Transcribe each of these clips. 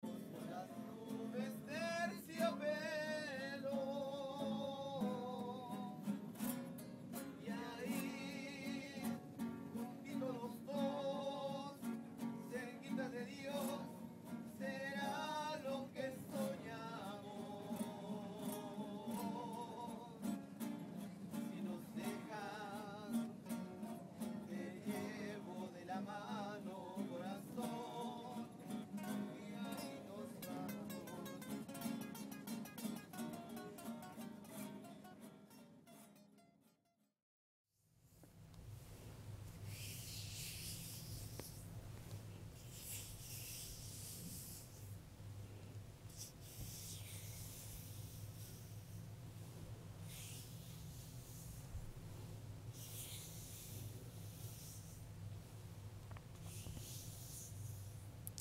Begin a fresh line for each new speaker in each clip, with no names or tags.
Las nubes tercio pelo y ahí juntos los dos cerquita de Dios será lo que soñamos si nos dejan te llevo de la mano corazón y ahí nos vamos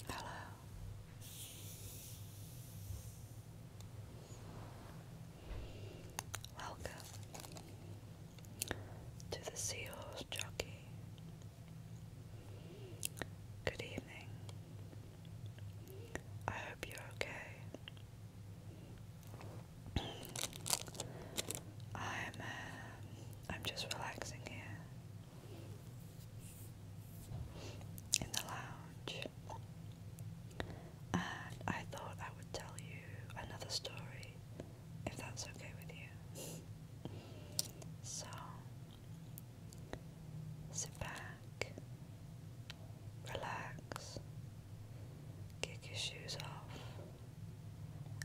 Hello. Welcome to the Seahorse Jockey. Good evening. I hope you're okay. I'm uh, I'm just relaxing here in the lounge, and I thought I would tell you another story if that's okay with you. So sit back, relax, kick your shoes off,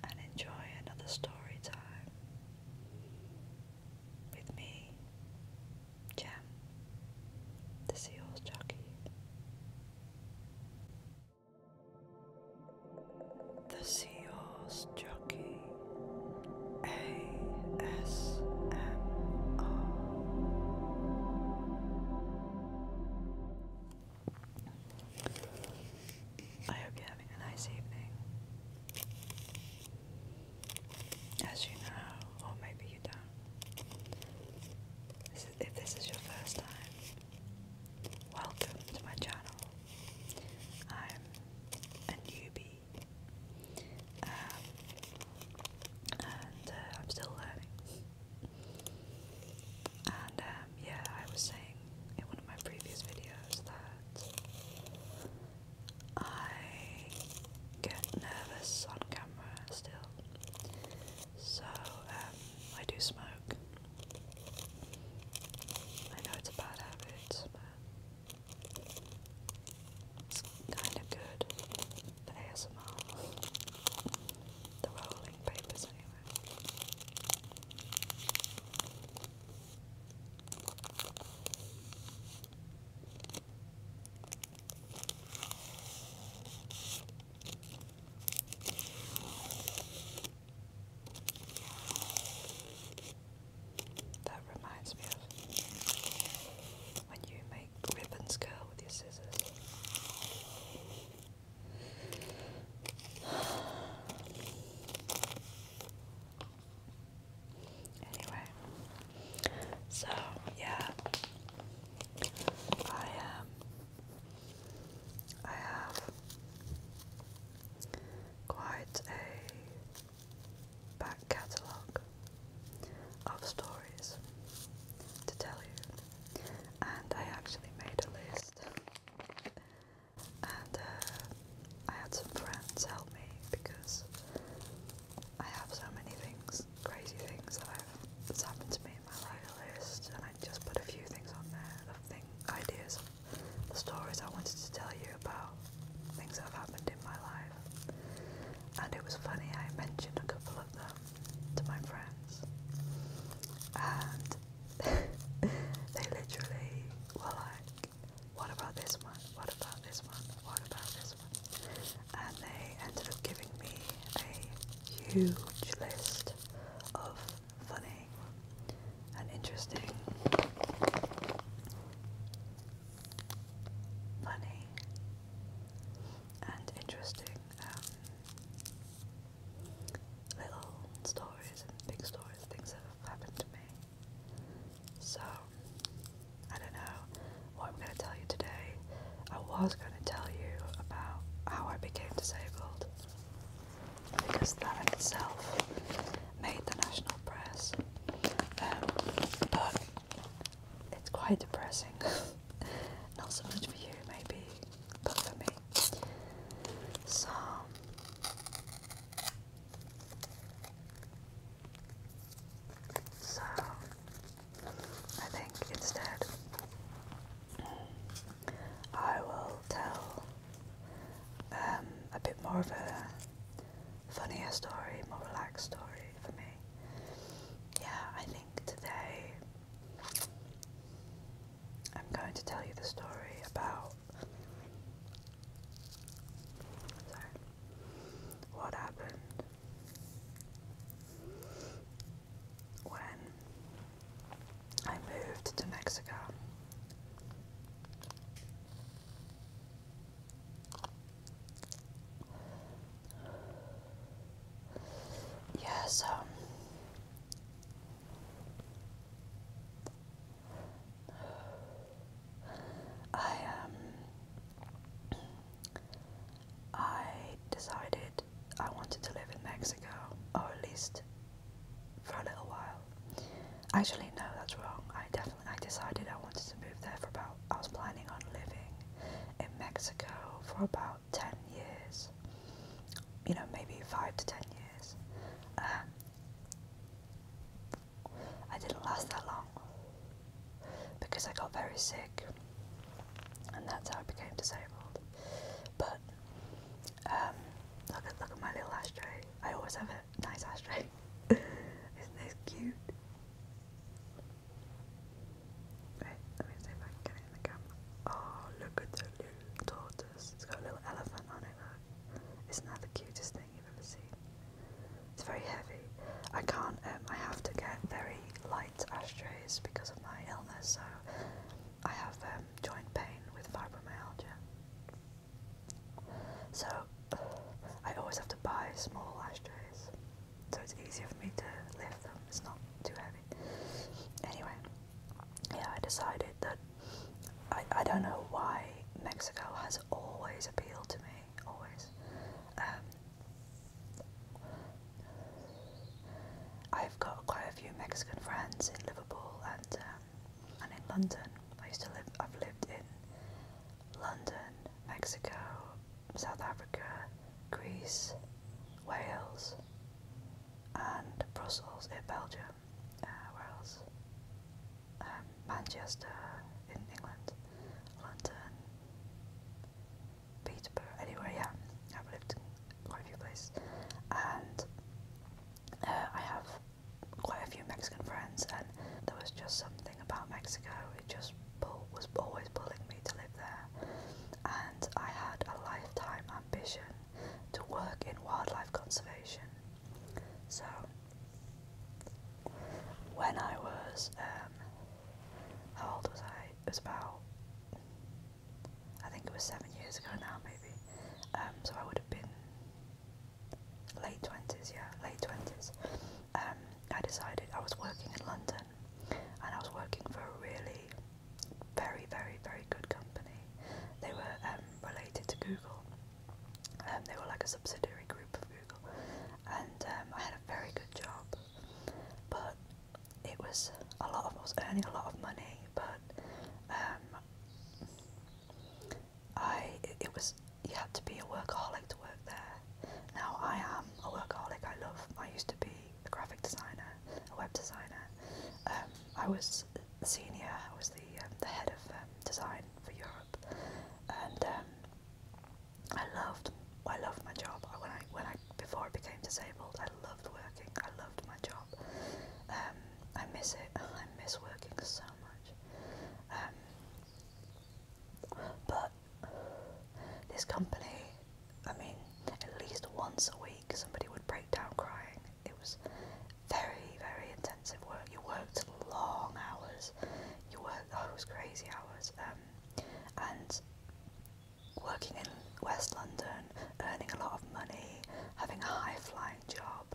and enjoy another story time with me, Jam, the Seahorse Jockey. The Seahorse Jockey ASMR I hope you're having a nice evening. As you know, or maybe you don't, if this is your first time, welcome to my channel. I'm a newbie, um, and uh, I'm still learning. And um, yeah, I was saying in one of my previous videos that I get nervous on camera still. So um, I do smoke. I know it's a bad habit, but it's kind of good. The ASMR. The rolling papers, anyway. That reminds me of when you make ribbons curl with your scissors. Anyway, so yeah, I um, I have quite a back catalogue of stories to tell you, and I actually made a list and uh, I had some friends help me because I have so many things, crazy things that have happened to me in my life list, and I just put a few things on there the thing ideas, of stories I wanted to tell you about things that have happened in my life, and it was funny I mentioned a couple of them to my friends, and they literally were like, what about this one? What about this one? What about this one? And they ended up giving me a huge list of funny and interesting, funny and interesting um, little stories and big stories, things have happened to me. So, I don't know what I'm going to tell you today. I was going to tell you about how I became disabled because that in itself made the national press. Um, but it's quite depressing. Not so much for you, maybe, but for me. So so I think instead I will tell um, a bit more of a funnier story, more relaxed story for me. Yeah, I think today I'm going to tell you the story about what happened when I moved to Mexico. Yeah, um, I um I decided I wanted to live in Mexico, or at least for a little while. Actually, no, that's wrong. I definitely I decided I wanted to move there for about. I was planning on living in Mexico for about 10 years, you know, maybe 5 to 10 years. Um, I didn't last that long because I got very sick, and that's how I became disabled. But um, look at my little ashtray. I always have a nice ashtray. Isn't this cute? Right, let me see if I can um, oh, look at the little tortoise. It's got a little elephant on it, not that the cutest thing you've ever seen? It's very heavy. I can't, um, I have to get very light ashtrays because of my illness, so I have um, joint pain with fibromyalgia. So I always have to buy small ashtrays, so it's easier for me to lift them, it's not too heavy. Anyway, yeah, I decided that I, I don't know why Mexico has always appealed to me, always. Um, I've got quite a few Mexican friends in Liverpool and um, and in London. I used to live. I've lived in London, Mexico, South Africa, Greece, Wales, and Brussels in Belgium. Uh, where else? Um, Manchester in England, London, Peterborough, anywhere, yeah. I've lived in quite a few places. And uh, I have quite a few Mexican friends, and there was just something about Mexico, it just was always pulling me to live there. And I had a lifetime ambition to work in wildlife conservation. So, when I was, um, how old was I? It was about, I think it was seven years ago now, maybe. Um, so I would have been late 20s, yeah, late 20s. Um, I decided I was working in London and I was working for a really very, very, very good company. They were um, related to Google. Um, they were like a subsidiary group of Google, and um, I had a very good job, but it was a lot. Of, I was earning a lot of money, but I it, was you had to be a workaholic to work there. Now I am a workaholic. I love. I used to be a graphic designer, a web designer. I was senior was the um, the head of um, design for Europe, and um, I loved I loved my job. When I when I before I became disabled, I loved working. I loved my job. I miss it. I miss working so much. but this company, I mean, at least once a week somebody would break down crying. It was very, very intensive work. You worked long hours. You worked, oh, it crazy hours. Um, and working in West London, earning a lot of money, having a high flying job,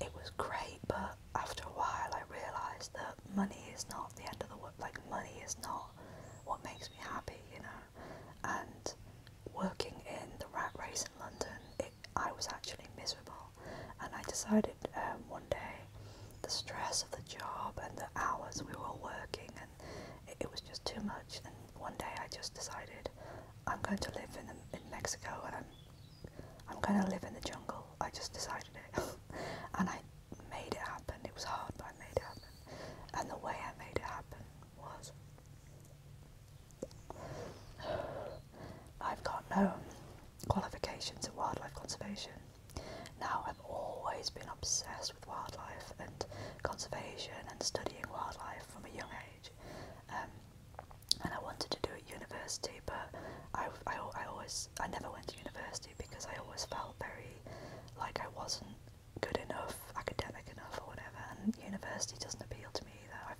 it was great. But after a while, I realised that money is not the end of the world. Like money is not what makes me happy, you know. And working in the rat race London, I was actually miserable, and I decided um, one day the stress of the job and the hours we were working, and it, was just too much. And one day I just decided I'm going to live in in Mexico, and I'm I'm going to live in the jungle. I just decided it, and I made it happen. It was hard, but I made it happen. And the way I made it happen was I've got no qualifications in wildlife conservation. Now, I've always been obsessed with wildlife and conservation and studying wildlife from a young age. Um, and I wanted to do it at university, but I, I always I never went to university because I always felt very like I wasn't good enough, academic enough, or whatever. And university doesn't appeal to me either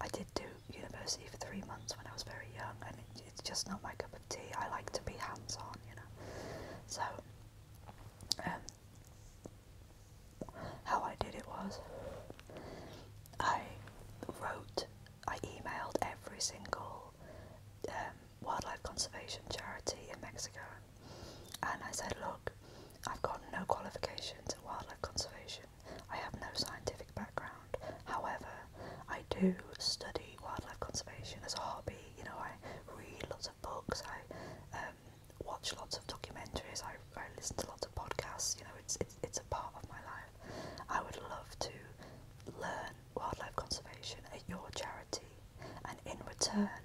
i did do university for three months when I was very young, and it's just not my cup of tea. I like to be hands-on, you know. So, um, how I did it was, I wrote, I emailed every single um, wildlife conservation charity in Mexico, and I said, look, I've got no qualifications in wildlife conservation. I have no scientific background. However, I do study wildlife conservation as a hobby. You know, I read lots of books. I um, watch lots of documentaries. I, I listen to lots of podcasts. You know, it's, it's it's a part of my life. I would love to learn wildlife conservation at your charity, and in return,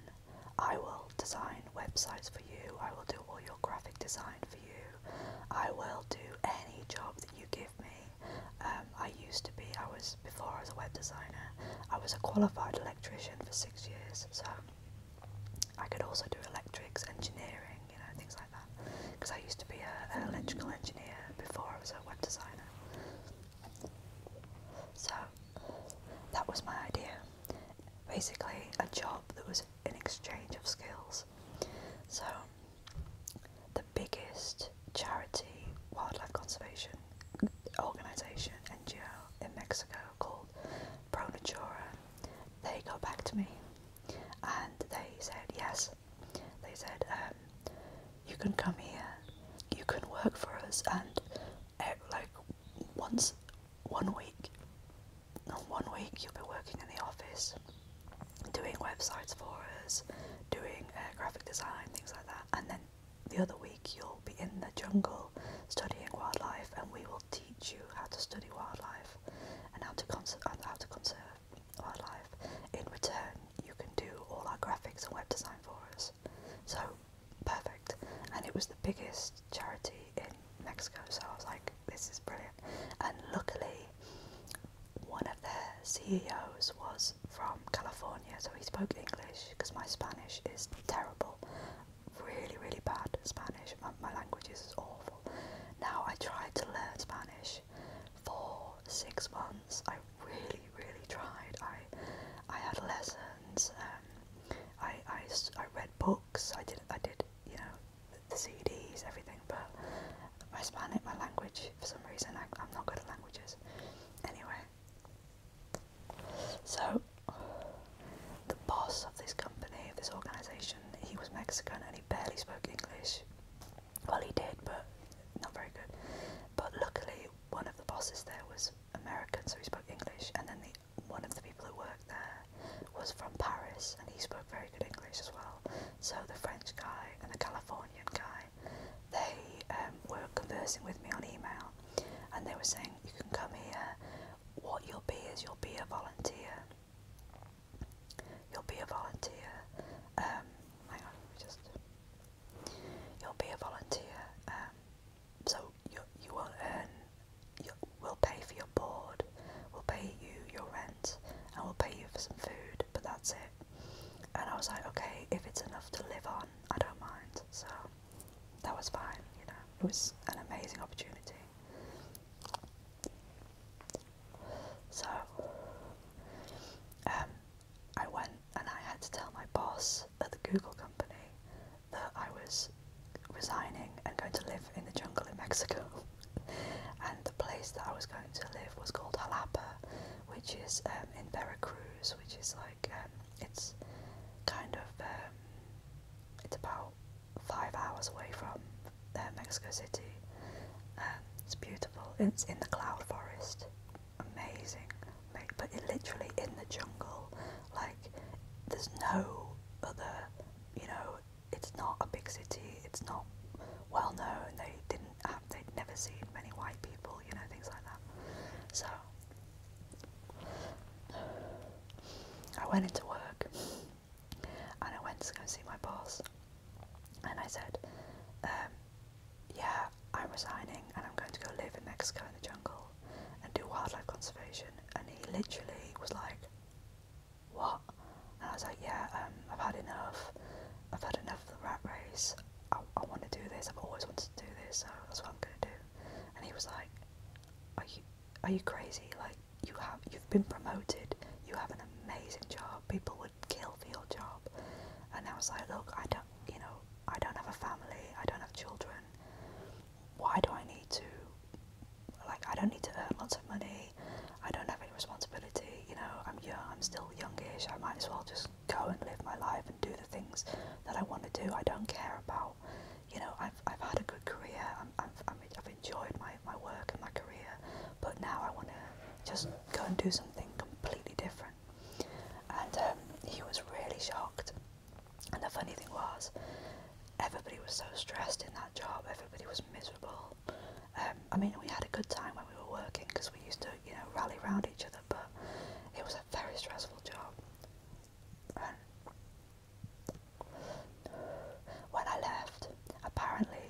I will design websites for you. I will do all your graphic design for I will do any job that you give me. Um, I used to be, I was, before I was a web designer, I was a qualified electrician for six years, so I could also do electrics, engineering, you know, things like that. Because I used to be an electrical engineer before I was a web designer. So that was my idea. Basically, a job that was in exchange of skills. So, the biggest charity wildlife conservation organization NGO in Mexico called Pronatura, they got back to me and they said yes. They said, um, you can come here, you can work for us, and eh, like once one week, one week you'll be working in the office, doing websites for us, doing uh, graphic design, things like that, and then the other week you'll be in the jungle studying wildlife, and we will teach you how to study wildlife and how to conserve and how to conserve wildlife. In return, you can do all our graphics and web design for us. So perfect, and it was the biggest charity in Mexico, so I was like, this is brilliant. And luckily, one of their CEOs was from California, so he spoke English because my Spanish is terrible. Really, really bad Spanish. My, language is awful. Now I tried to learn Spanish for six months. I really, really tried. I, I had lessons. Um, I, I, I read books. I did, I did, you know, the CDs, everything, but my Spanish, my language, for some reason, I, am not good at languages. Anyway, so the boss of this company, of this organisation, he was Mexican and he barely spoke English. Well, he did, but not very good. But luckily, one of the bosses there was American, so he spoke English, and then the one of the people who worked there was from Paris and he spoke very good English as well. So the French guy and the Californian guy, they um, were conversing with me on email and they were saying, You can come here. What you'll be is you'll be a volunteer. You'll be a volunteer. Um, hang on, just. You'll be a volunteer. Um, so you, you won't we'll pay for your board, we'll pay you your rent, and we'll pay you for some food, but that's it. And I was like, okay, if it's enough to live on, I don't mind. So that was fine, you know, it was an amazing opportunity. So, um, I went and I had to tell my boss at the Google company that I was resigning and going to live in the jungle in Mexico. and the place that I was going to live was called Jalapa, which is um, in Vera Cruz, which is like um, it's kind of um, it's about five hours away from uh, Mexico City. it's beautiful. It's in the cloud forest. Amazing, but it literally in the jungle. Like there's no other, you know, it's not a big city, it's not well known, they didn't have, they'd never seen many white people, you know, things like that. So, I went into work and I went to go see my boss and I said, um, yeah, I'm resigning and I'm going to go live in Mexico in the jungle and do wildlife conservation. And he literally was like, what? I was like, yeah, um, I've had enough. I've had enough of the rat race. I, I want to do this. I've always wanted to do this, so that's what I'm gonna do. And he was like, are you are you crazy? Like you have you've been promoted. You have an amazing job. People would kill for your job. And I was like, look, I don't, you know, I don't have a family. I don't have children. Why do I need to? Like I don't need to earn lots of money. I don't have any responsibility, you know, I'm young, I'm still youngish, I might as well just go and live my life and do the things that I want to do. I don't care about, you know, I've, I've had a good career, i have i have enjoyed my, my work and my career, but now I want to just go and do something completely different. And um, he was really shocked. And the funny thing was, everybody was so stressed in that job, everybody was miserable. Um, I mean, we had a good time when we were working because we used to, you know, rally around each other, but it was a very stressful job. And when I left, apparently,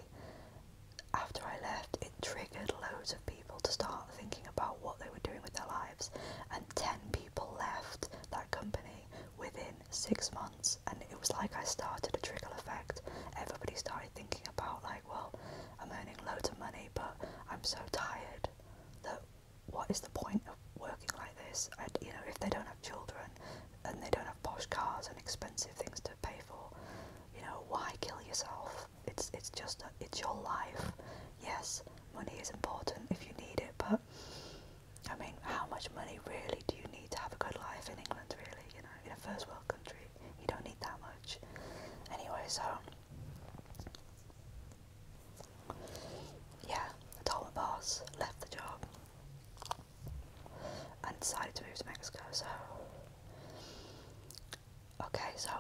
after I left, it triggered loads of people to start thinking about what they were doing with their lives, and 10 people left that company within six months and it was like I started a trickle effect. Everybody started thinking about like, well, I'm earning loads of money but I'm so tired that what is the point of working like this? I, you know, if they don't have children and they don't have posh cars and expensive things to pay for, you know, why kill yourself? It's it's just a, it's your life. Yes, money is important if you need it, but I mean, how much money really do you need to have a good life in England? Really, you in a first world country. You don't need that much. Anyway, so yeah, I told my boss, left the job, and decided to move to Mexico. So okay, so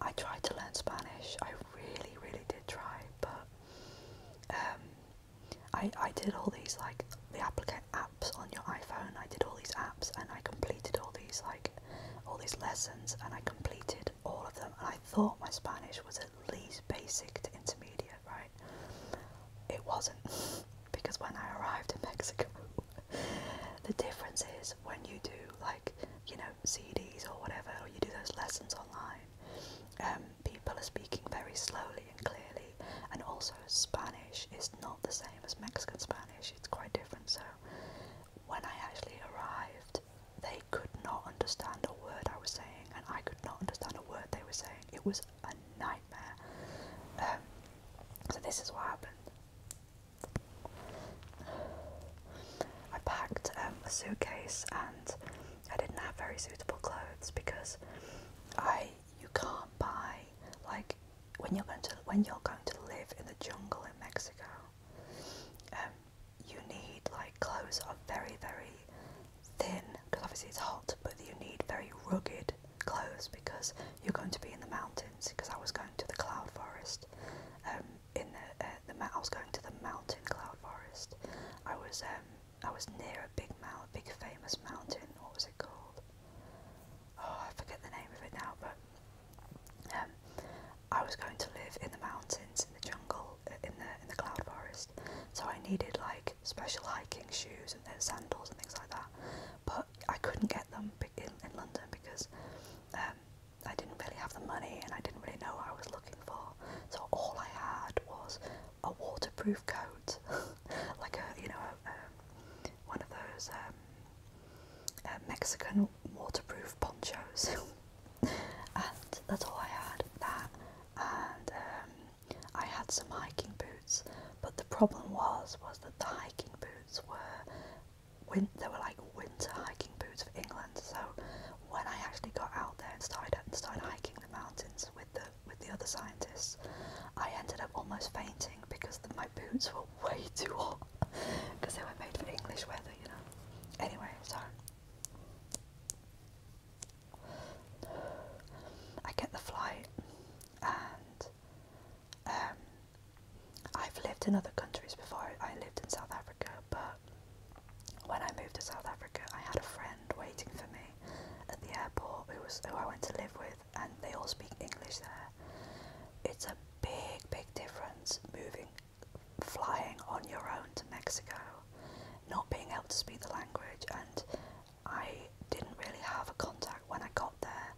I tried to learn Spanish. I really, really did try, but um, I, I did all these like the applicant apps on your iPhone. I did all these apps and I completed all these like all these lessons and I completed all of them and I thought my Spanish was at least basic to intermediate, right? It wasn't because when I arrived in Mexico the difference is when you do like, you know, CDs or whatever or you do those lessons online, um, people are speaking very slowly and clearly. And also, Spanish is not the same as Mexican Spanish, it's quite different. So, when I actually arrived, they could not understand a word I was saying, and I could not understand a word they were saying. It was a nightmare. Um, so, this is what happened. I packed um, a suitcase and I didn't have very suitable clothes because I you can't buy like when you're going to when you're going to live in the jungle in Mexico. Um, you need like clothes are very very thin because obviously it's hot, but you need very rugged clothes because you're going to be in the mountains. Because I was going to the cloud forest. Um, in the, uh, the I was going to the mountain cloud forest. I was um, I was near a big mount, big famous mountain. What was it called? oh, I forget the name of it now, but um, I was going to live in the mountains, in the jungle, uh, in the in the cloud forest, so I needed like special hiking shoes and, and sandals and things like that. But I couldn't get them in, in London because um, I didn't really have the money and I didn't really know what I was looking for. So all I had was a waterproof coat coat, like a you know a, a, one of those um, uh, Mexican waterproof ponchos, and that's all I had. That and um, I had some hiking boots, but the problem was was that the hiking boots were win they were like winter hiking boots of England. So when I actually got out there and started started hiking the mountains with the other scientists, I ended up almost fainting because my boots were way too hot because they were made for English weather, you know. Anyway, so I get the flight, and um, I've lived in other countries before. I lived in South Africa, but when I moved to South Africa, I had a friend waiting for me at the airport who was who I went to live with and they all speak English there. It's a big, big difference moving, flying on your own to Mexico, not being able to speak the language, and I didn't really have a contact when I got there.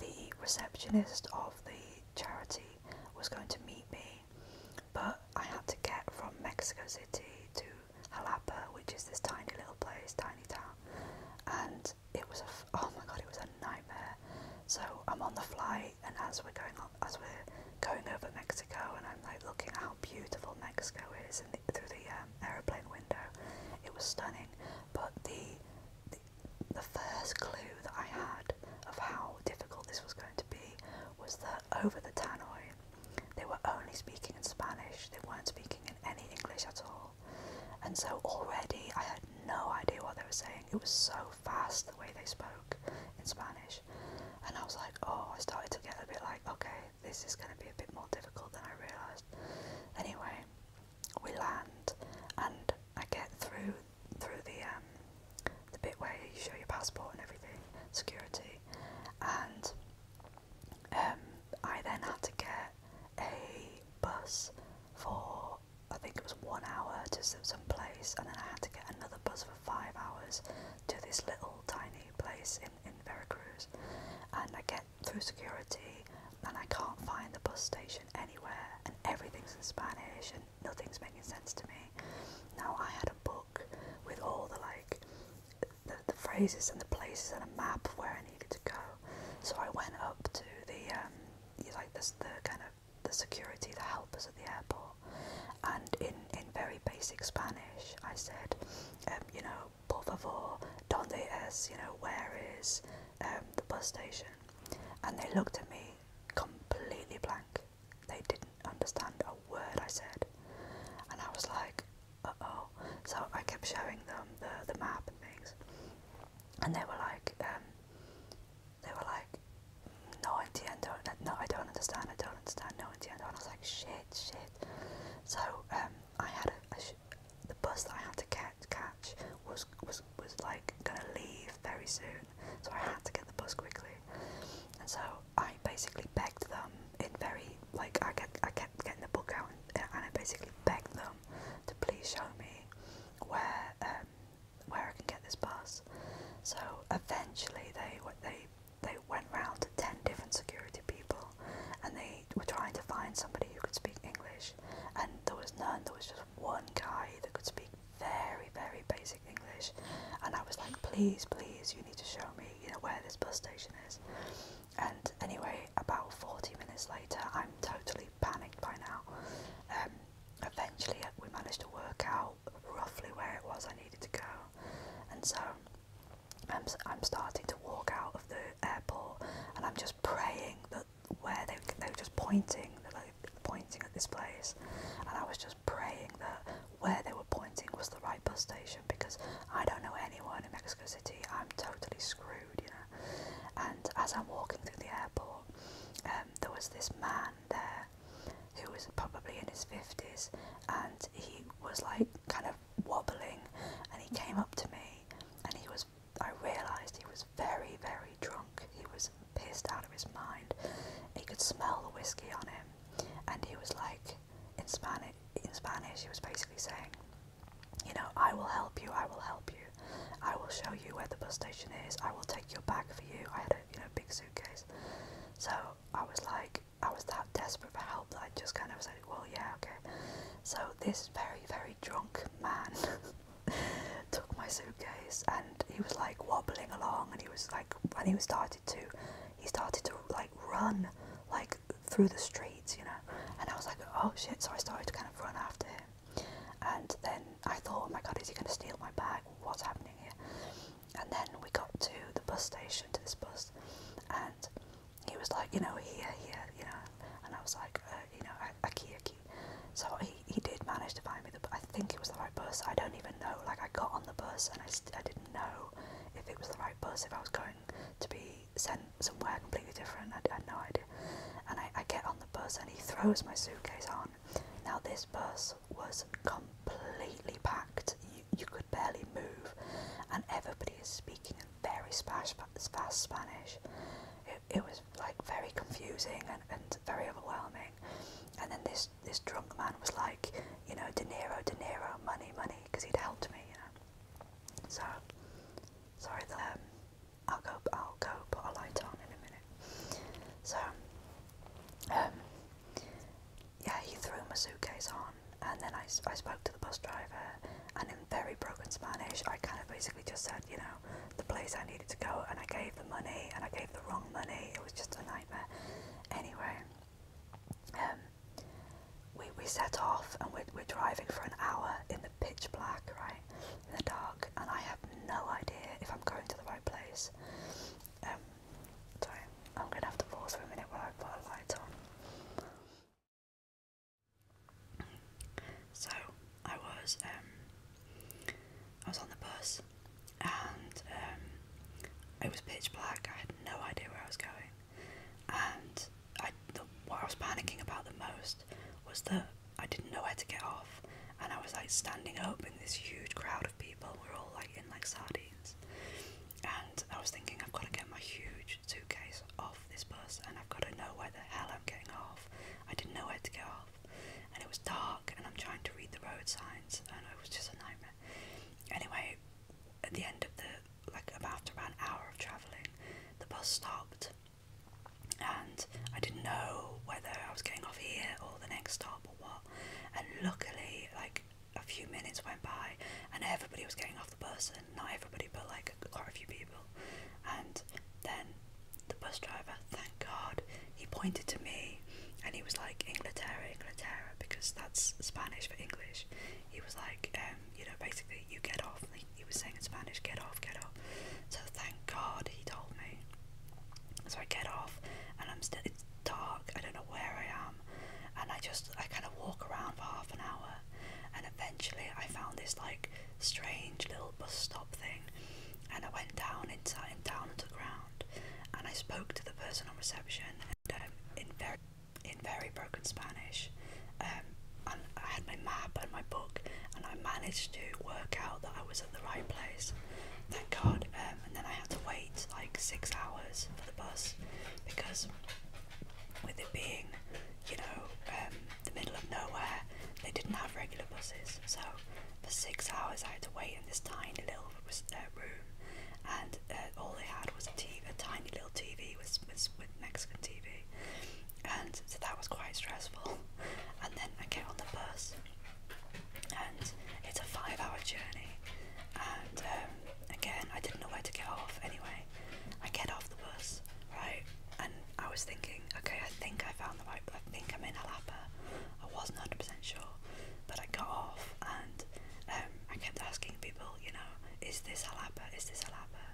The receptionist of the charity was going to meet me, but I had to get from Mexico City to Jalapa, which is this tiny little place, tiny town, and it was a oh my god, it was a nightmare. So I'm on the flight, and as we're going on, as we're going over Mexico, and I'm like looking at how beautiful Mexico is through the um, aeroplane window. It was stunning, but the, the the first clue that I had of how difficult this was going to be was that over the tannoy, they were only speaking in Spanish. They weren't speaking in any English at all. And so already I had no idea what they were saying. It was so fast the way they spoke in Spanish. And I was like, oh, I started to get a bit like, okay, this is going to be a bit more difficult than I realised. Anyway, we land and I get through through the um, the bit where you show your passport and everything, security, and um, I then had to get a bus for I think it was one hour to some place, and then I had to get another bus for five hours to this little tiny place in, in Veracruz. And I get through security, and I can't find the bus station anywhere, and everything's in Spanish, and nothing's making sense to me. Now I had a book with all the like the, the phrases and the places and a map of where I needed to go, so I went up to the um, like the kind of the security that help at the airport, and in in very basic Spanish, I said, um, you know, por favor, donde es, you know, where is um, the bus station? And they looked at me completely blank. They didn't understand a word I said, and I was like, uh oh. So I kept showing them the the map and things, and they were like, um, they were like, no idea, don't, no, I don't understand, I don't understand, no idea, and I was like, shit, shit. So um, I had a, the bus that I had to catch, was was was like gonna leave very soon, so I had to get the bus quickly, and so I basically begged them in very like I kept I kept getting the book out and I basically begged them to please show me where um, where I can get this bus. So eventually they they they went round to ten different security people, and they were trying to find somebody who could speak English, and there was none. There was just one guy that could speak very very basic English, and I was like, please please, you need to show me you know where this bus station is. And anyway, about 40 minutes later, I'm totally panicked by now. Um, eventually, we managed to work out roughly where it was I needed to go, and so I'm, I'm starting to walk out of the airport, and I'm just praying that where they they were just pointing, they're like pointing at this place, and I was just praying that where they were pointing was the right bus station because I don't know anyone in Mexico City. I'm totally screwed. And as I'm walking through the airport, um, there was this man there who was probably in his 50s and he was like kind of wobbling and he came up to me and he was I realised he was very very drunk he was pissed out of his mind he could smell the whiskey on him and he was like in Spanish in Spanish he was basically saying you know, I will help you, I will help you. I will show you where the bus station is, I will take your bag for you. I had a you know big suitcase. So I was like I was that desperate for help that I just kind of said, Well yeah, okay. So this very, very drunk man took my suitcase and he was like wobbling along and he was like and he started to he started to like run like through the streets, you know. And I was like, Oh shit, so I started to kind of run after him. And then I thought, oh my god, is he going to steal my bag? What's happening here? And then we got to the bus station, to this bus, and he was like, you know, here, here, you know. And I was like, uh, you know, aki, aki. So he, he did manage to find me, the, I think it was the right bus. I don't even know. Like, I got on the bus and I, I didn't know if it was the right bus, if I was going to be sent somewhere completely different. I, had no idea. And I, I get on the bus and he throws my suitcase on. Now this bus was completely packed. You, you could barely move, and everybody is speaking in very spash, fast Spanish. It, it was like very confusing and, and very overwhelming. And then this this drunk man was like, you know, De Niro, De Niro, money, money, because he'd helped me. You know. So sorry that I'll go. I'll go put a light on in a minute. So, um, yeah, he threw my suitcase on, and then I, I spoke to the bus driver, and in very broken Spanish, I kind of basically just said, you know, the place I needed to go, and I gave the money, and I gave the wrong money. It was just a nightmare. Anyway, um, we we set off, and we we're driving for an hour in the pitch black, right? in the dark, and I have no idea if I'm going to the right place. Um, so I'm going to have to pause for a minute while I put a light on. So I was um, I was on the bus, and um, it was pitch black. I had no idea where I was going, and I the, what I was panicking about the most was that I didn't know where to get off, and I was like standing up in this huge crowd of people. We're all like in like sardines, and I was thinking I've got to get my huge suitcase off this bus, and I've got to know where the hell I'm getting off. I didn't know where to get off, and it was dark, and I'm trying to read the road signs, and it was just a nightmare. Anyway, at the end of the like about after about an hour of travelling, the bus stopped and I didn't know whether I was getting off here or the next stop or what. And luckily, like a few minutes went by, and everybody was getting off the bus, and not everybody, but like quite a few people. And then the bus driver, thank God, he pointed to me and he was like, Inglaterra, Inglaterra, because that's Spanish for English. He was like, um, you know, basically, you get off, he was saying in Spanish, get off, get off. So thank God he told me. So I get off and I'm still, it's dark, I don't know where I am. And I just, I kind of walk around for half an hour. And eventually I found this like strange little bus stop thing. And I went down inside and down to the ground. And I spoke to the person on reception and, um, in very in very broken Spanish, um, and I had my map and my book, and I managed to work out that I was at the right place. Thank God. Um, and then I had to wait like six hours for the bus because, with it being, you know, um, the middle of nowhere, they didn't have regular buses. So for six hours, I had to wait in this tiny little uh, room, and uh, all they had was A tiny little TV with, with, with Mexican TV and so that was quite stressful. And then I get on the bus, and it's a five-hour journey. And um, again, I didn't know where to get off. Anyway, I get off the bus, right? And I was thinking, okay, I think I found the right. I think I'm in Alapa. I wasn't 100% sure, but I got off, and um, I kept asking people, you know, is this Alapa? Is this Alapa?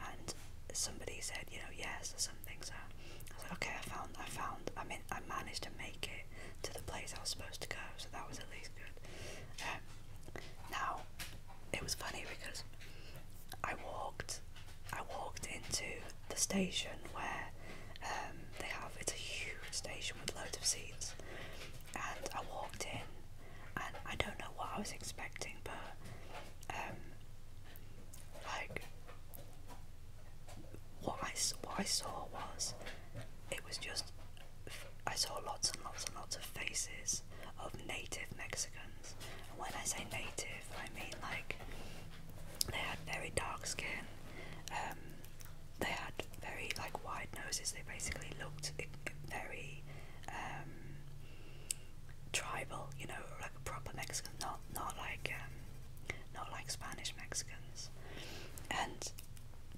and somebody said, you know, yes or something. So I said, okay, I found, I found, I mean, I managed to make it to the place I was supposed to go. So that was at least good. Um, now it was funny because I walked, I walked into the station where um, they have. It's a huge station with loads of seats, and I walked in, and I don't know what I was expecting, but um, like what I saw was it was just I saw lots and lots and lots of faces of native Mexicans. And when I say native, I mean like they had very dark skin. Um, they had very like wide noses. They basically looked very um, tribal, you know, like a proper Mexican, not not like um, not like Spanish Mexicans, and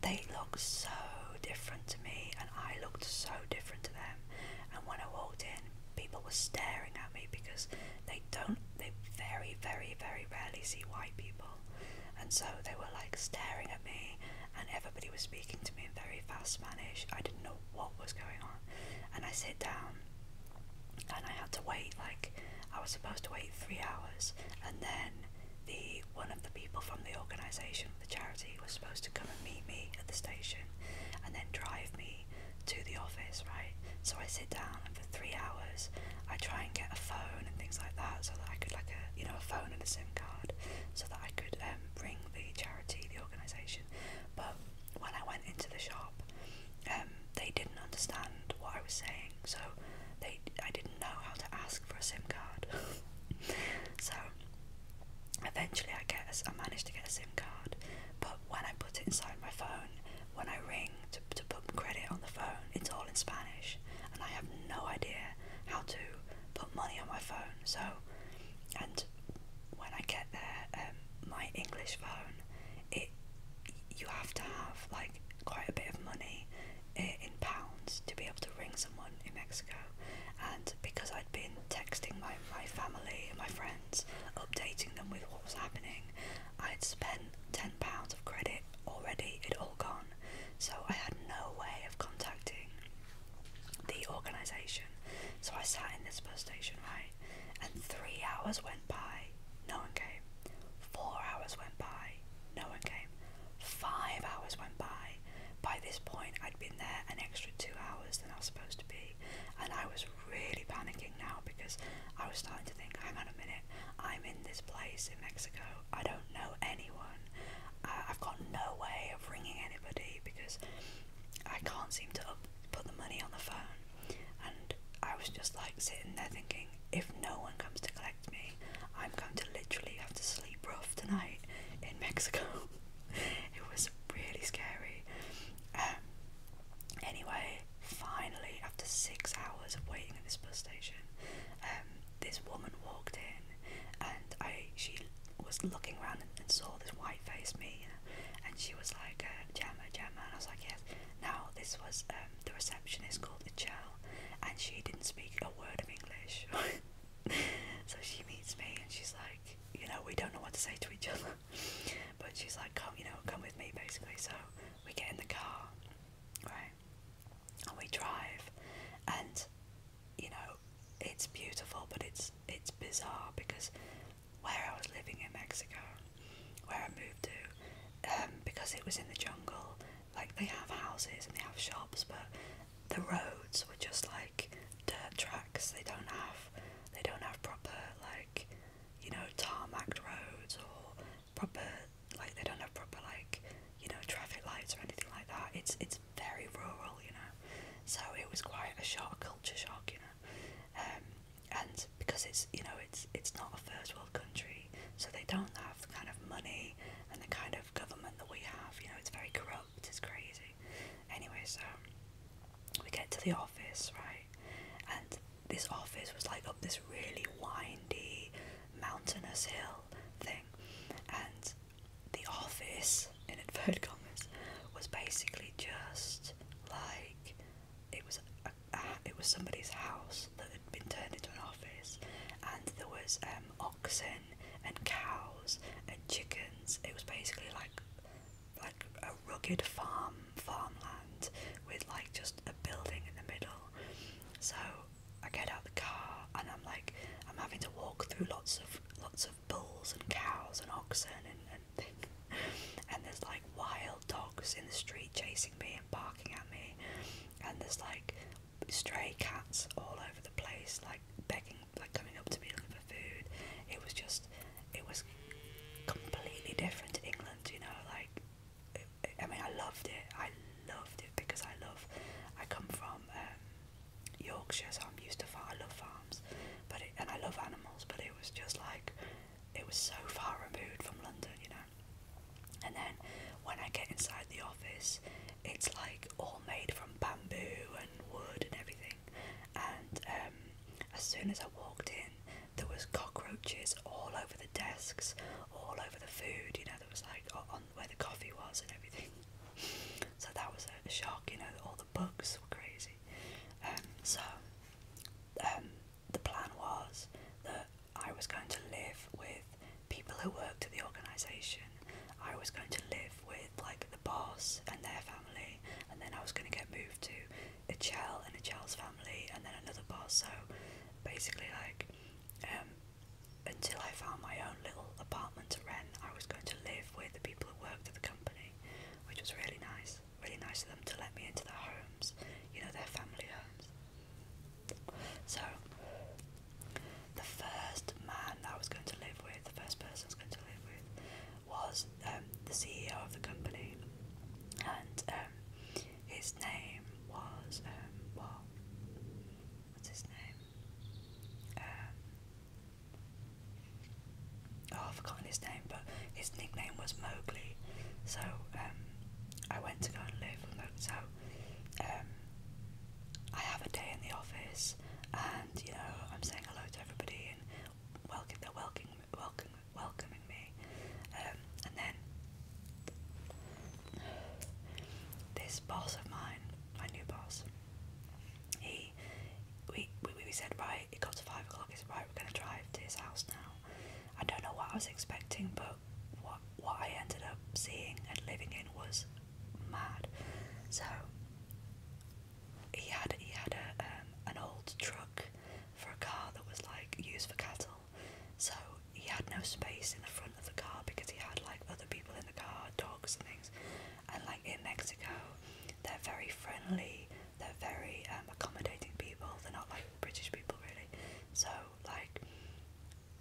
they looked so different to me, and I looked so different to them. And when I walked in, people were staring at me because they don't, they very, very, very rarely see white people, and so they were like staring at me, and everybody was speaking to me in very fast Spanish. I didn't know what was going on, and I sit down and I had to wait like I was supposed to wait three hours, and then the one of the people from the organisation, the charity, was supposed to come and meet me at the station, and then drive me to the office. Right, so I sit down, and for three hours, I try and get a phone and things like that, so that I could like a you know a phone and a SIM card, so that I could um, ring the charity, the organisation. But when I went into the shop, um, they didn't understand what I was saying, so they I didn't know how to ask for a SIM card. so eventually, I guess I managed to get a SIM card, but when I put it inside my phone, when I ring to to put credit on the phone, it's all in Spanish, and I have no idea how to put money on my phone. So, and when I get there, um, my English phone it you have to have like quite a bit of money eh, in pounds to be able to ring someone in Mexico. And because I'd been texting my my family and my friends, updating them with what was happening, I'd spent ten pounds of credit already. It all gone, so I had no way of contacting the organisation. So I sat in this bus station, right? and three hours went by, no one came. Four hours went by, no one came. Five hours went by. By this point, I'd been there an extra two hours than I was supposed to be, and I was really panicking now because I was starting to think, hang on a minute, I'm in this place in Mexico, I don't know anyone, I have got no way of ringing anybody because I can't seem to up put the money on the phone. And I was just like sitting there thinking, if no one comes to collect me, I'm going to literally have to sleep rough tonight in Mexico. it was really scary. Um, anyway, finally, after six hours of waiting in this bus station, um, this woman walked in, and I she was looking around and, and saw this white-faced me and she was like uh, Gemma and I was like yes now this was um, the receptionist called the Michelle and she didn't speak a word of English so she meets me and she's like you know we don't know what to say to each other but she's like come you know come with me basically so we get in the car right and we drive and you know it's beautiful but it's it's bizarre because where I was living in Mexico, where I moved to, um, because it was in the jungle. Like they have houses and they have shops, but the roads were just like dirt tracks. They don't have, they don't have proper like, you know, tarmac roads or proper like they don't have proper like, you know, traffic lights or anything like that. It's it's very rural, you know. So it was quite a shock, culture shock, you know. Um, and because it's you know it's it's not a first world country, so they don't have the kind of money and the kind of government that we have. You know, it's very corrupt. It's crazy. Anyway, so we get to the office, right? And this office was like up this really windy, mountainous hill thing, and the office in inverted commas was basically just like it was a, it was somebody's house that had been turned into an office, and there was um, oxen and cows and chickens. It was basically like like a rugged farm farmland with like just a building in the middle. So I get out the car and I'm like I'm having to walk through lots of lots of bulls and cows and oxen and, and there's like wild dogs in the street chasing me and barking at me, and there's like stray cats all over the place, like begging, like coming up to me looking for food. It was just, it was completely different to England, you know. Like, I mean, I loved it. I loved it because I love. I come from um, Yorkshire, so I'm used to farm. I love farms, but and I love animals. But it was just like it was so far removed from London, you know. And then when I get inside the office, it's like all made from bamboo and wood and everything. And um, as soon as I walked in, there was cockroaches all over the desks, all over the food. You know, there was like on where the coffee was and everything. So that was a shock. You know, all the bugs were crazy. Um, so um, the plan was that I was going to live with people who worked at the organisation. I was going to live with like the boss and their family, and then I was going to get moved to a child and a child's family, and then another boss. So basically, like um, until I found my own little apartment to rent, I was going to live with the people who worked at the company, which was really nice really nice of them to let me into their homes, you know, their family homes. So, the first man that I was going to live with, the first person I was going to live with, was um, the CEO of the company, and um, his name was um, what's his name? Um, oh, I've forgotten his name but his nickname was Mowgli. So um, I went to go and live with Mowgli. So um, I have a day in the office, and you know I'm saying hello to everybody and welcome. They're welcoming, welcome, welcoming me, um, and then this boss of mine, my new boss, he we we, we said right. It got to five o'clock. It's right. We're gonna drive to his house now now. I don't know what I was expecting, but what what I ended up seeing and living in was mad. So he had he had a um, an old truck for a car that was like used for cattle. So he had no space in the front of the car because he had like other people in the car, dogs and things. And like in Mexico, they're very friendly. They're very um, accommodating people. They're not like British people really. So, like,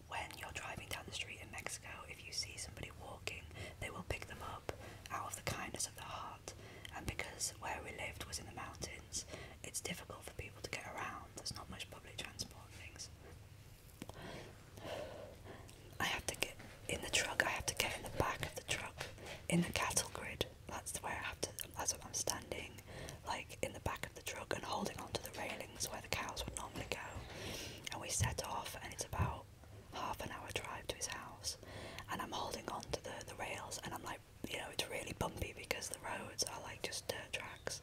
when you're driving down the street in Mexico, if you see somebody walking, they will pick them up out of the kindness of their heart. And because where we lived was in the mountains, it's difficult for people to get around. There's not much public transport things. I have to get in the truck, I have to get in the back of the truck in the cattle grid that's the way I have to. That's what I'm standing, like in the back of the truck and holding onto the railings where the cows would normally go. And we set off, and it's about half an hour drive to his house. And I'm holding on to the, the rails, and I'm like, you know, it's really bumpy because the roads are like just dirt tracks,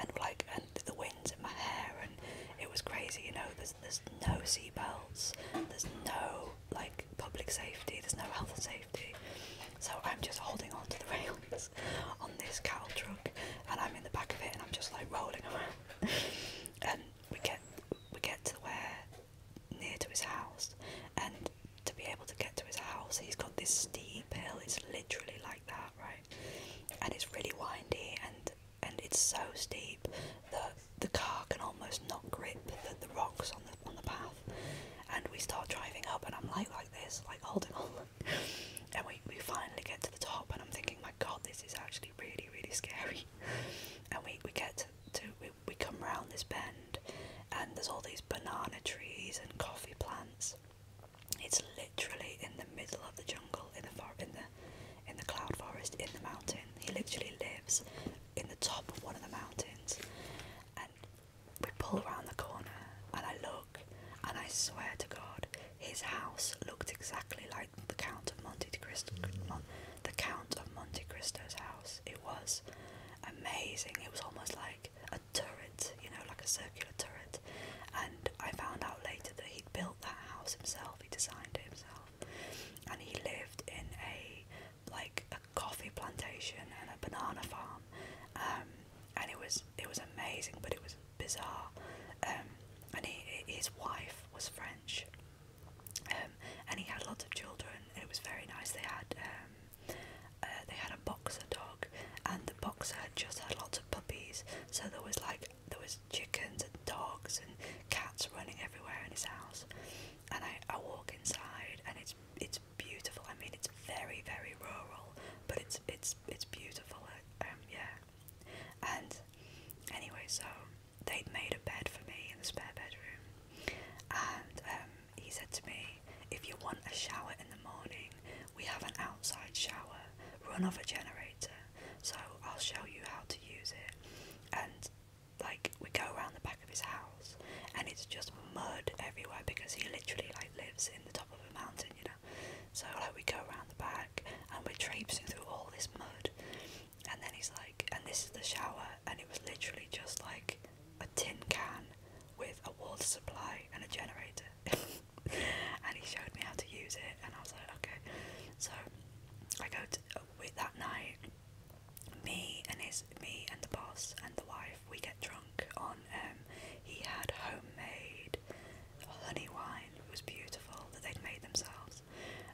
and like, and the wind's in my hair, and it was crazy, you know. There's there's no seat belts, there's no like public safety, there's no health and safety so I'm just holding on to the rails on this cattle truck, and I'm in the back of it, and I'm just like rolling around. and we get we get to where near to his house, and to be able to get to his house, he's got this steep hill. It's literally like that, right? And it's really windy, and and it's so steep that the car can almost not grip the, the rocks on the on the path and we start driving up and I'm like like this, like holding on and we, we finally get to the top and I'm thinking, my god, this is actually really, really scary and we, we get to, we, we come round this bend and there's all these banana trees and coffee plants it's literally in the middle of the jungle, in the far, in the in the cloud forest, in the mountain. He literally lives in the top of one of the mountains, we pull around the corner and I look, and I swear to God, his house looked exactly like the Count of Monte Cristo, the Count of Monte Cristo's house. It was amazing. It was almost like a turret, you know, like a circular turret. And I found out later that he'd built that house himself. He designed it himself, and he lived in a like a coffee plantation and a banana farm. Um, and it was it was amazing, but it was bizarre. Um, and he, his wife was French, um, and he had lots of children. And it was very nice. They had um, uh, they had a boxer dog, and the boxer had just had lots of puppies. So there was like there was chickens and dogs and cats running everywhere in his house. And I, I walk inside, and it's it's it's beautiful. I mean, it's very, very rural, but it's it's it's beautiful. Uh, um, yeah. And anyway, so they'd made a bed for me in the spare bedroom, and um, he said to me, "If you want a shower in the morning, we have an outside shower, run off a generator. So I'll show you how to use it." And like we go around the back of his house, and it's just mud everywhere because he literally like lives in the of a mountain, you know. So like we go around the back and we're traipsing through all this mud, and then he's like, and this is the shower, and it was literally just like a tin can with a water supply and a generator. and he showed me how to use it, and I was like, okay. So I go with that night. Me and his, me and the boss and the wife, we get drunk on um, he had homemade honey wine. It was beautiful that they'd made themselves.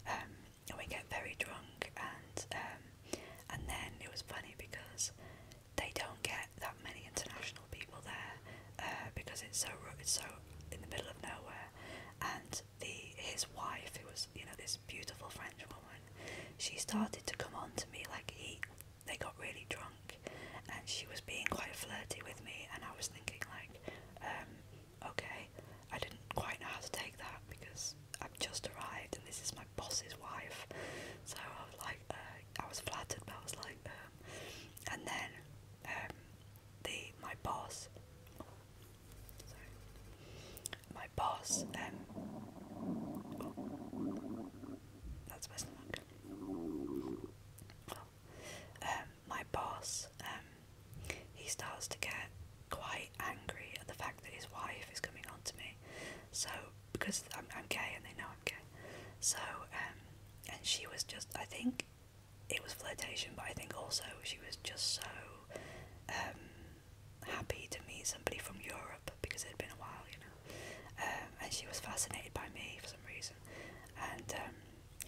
Um, and we get very drunk, and um, and then it was funny because they don't get that many international people there uh, because it's so it's so in the middle of nowhere. And the his wife, who was you know this beautiful French woman, she started to come on to me like he they got really drunk and she was being quite flirty with me and I was thinking like um, okay I didn't quite know how to take that because I've just arrived and this is my boss's wife so I was like uh, I was flattered but I was like um and then um the my boss sorry my boss um oh, that's messing up um, my boss, um, he starts to get quite angry at the fact that his wife is coming on to me. So because I'm, I'm gay and they know I'm gay. So um, and she was just I think it was flirtation, but I think also she was just so happy to meet somebody from Europe because it had been a while, you know. Um, and she was fascinated by me for some reason. And um,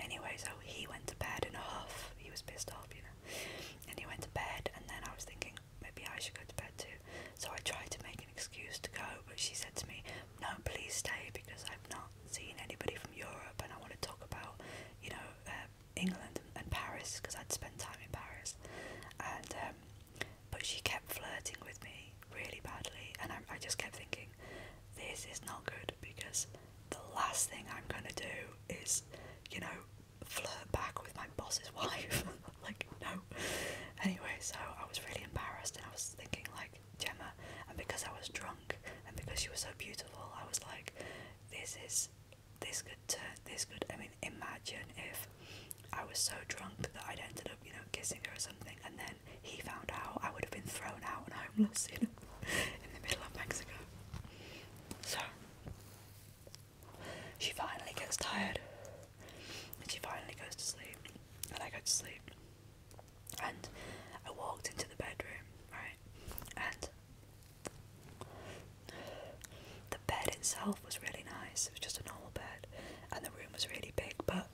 anyway, so he went to bed in a huff. He was pissed off, you know. And he went to bed, and then I was thinking maybe I should go to bed too. So I tried to make an excuse to go, but she said to me, "No, please stay because I've not seen anybody from Europe, and I want to talk about, you know, uh, England and, Paris because I'd spent time in Paris." And um, but she kept flirting with me really badly, and I, just kept thinking, this is not good because the last thing I'm gonna do is, you know, flirt back with my boss's wife. like, no. Anyway, so I was really embarrassed, and I was thinking, like, Gemma, and because I was drunk, and because she was so beautiful, I was like, this is. This could turn. This could. I mean, imagine if I was so drunk that I'd ended up, you know, kissing her or something, and then he found out, I would have been thrown out and homeless in, the middle of Mexico. So, she finally gets tired and she finally goes to sleep. And I go to sleep. And I walked into the bedroom, right? And the bed itself was really nice, it was just a normal bed, and the room was really big, but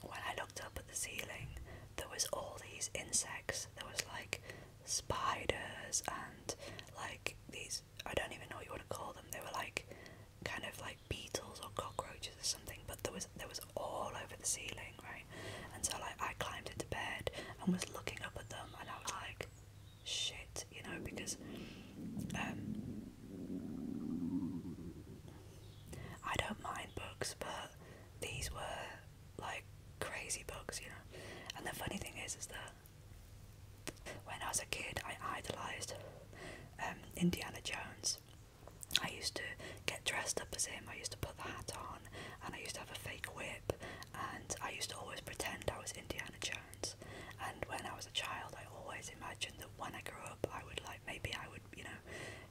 but when I looked up at the ceiling, there was all these insects. There was like spiders and like these I don't even know what you want to call them. They were like kind of like beetles or cockroaches or something. But there was there was all over the ceiling, right? And so like I climbed into bed and was looking up at them, and I was like, shit, you know, because um I don't mind books, but these were like crazy books, you know. And the funny thing is, is that when I was a kid, I idolized um, Indiana Jones. I used to get dressed up as him. I used to put the hat on, and I used to have a fake whip, and I used to always pretend I was Indiana Jones. And when I was a child, I always imagined that when I grew up, I would like maybe I would you know,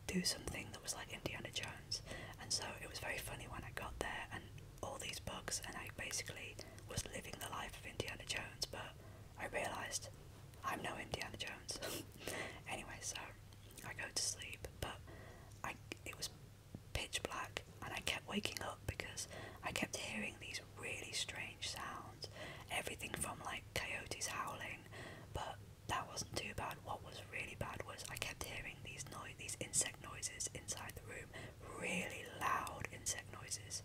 do something that was like Indiana Jones. And so it was very funny when I got there and all these books, and I basically was living the life of Indiana Jones, but I realised I'm no Indiana Jones. anyway, so I go to sleep, but I it was pitch black, and I kept waking up because I kept hearing these really strange sounds, everything from like coyotes howling, but that wasn't too bad. What was really bad was I kept hearing these noise, these insect noises inside the room, really loud insect noises.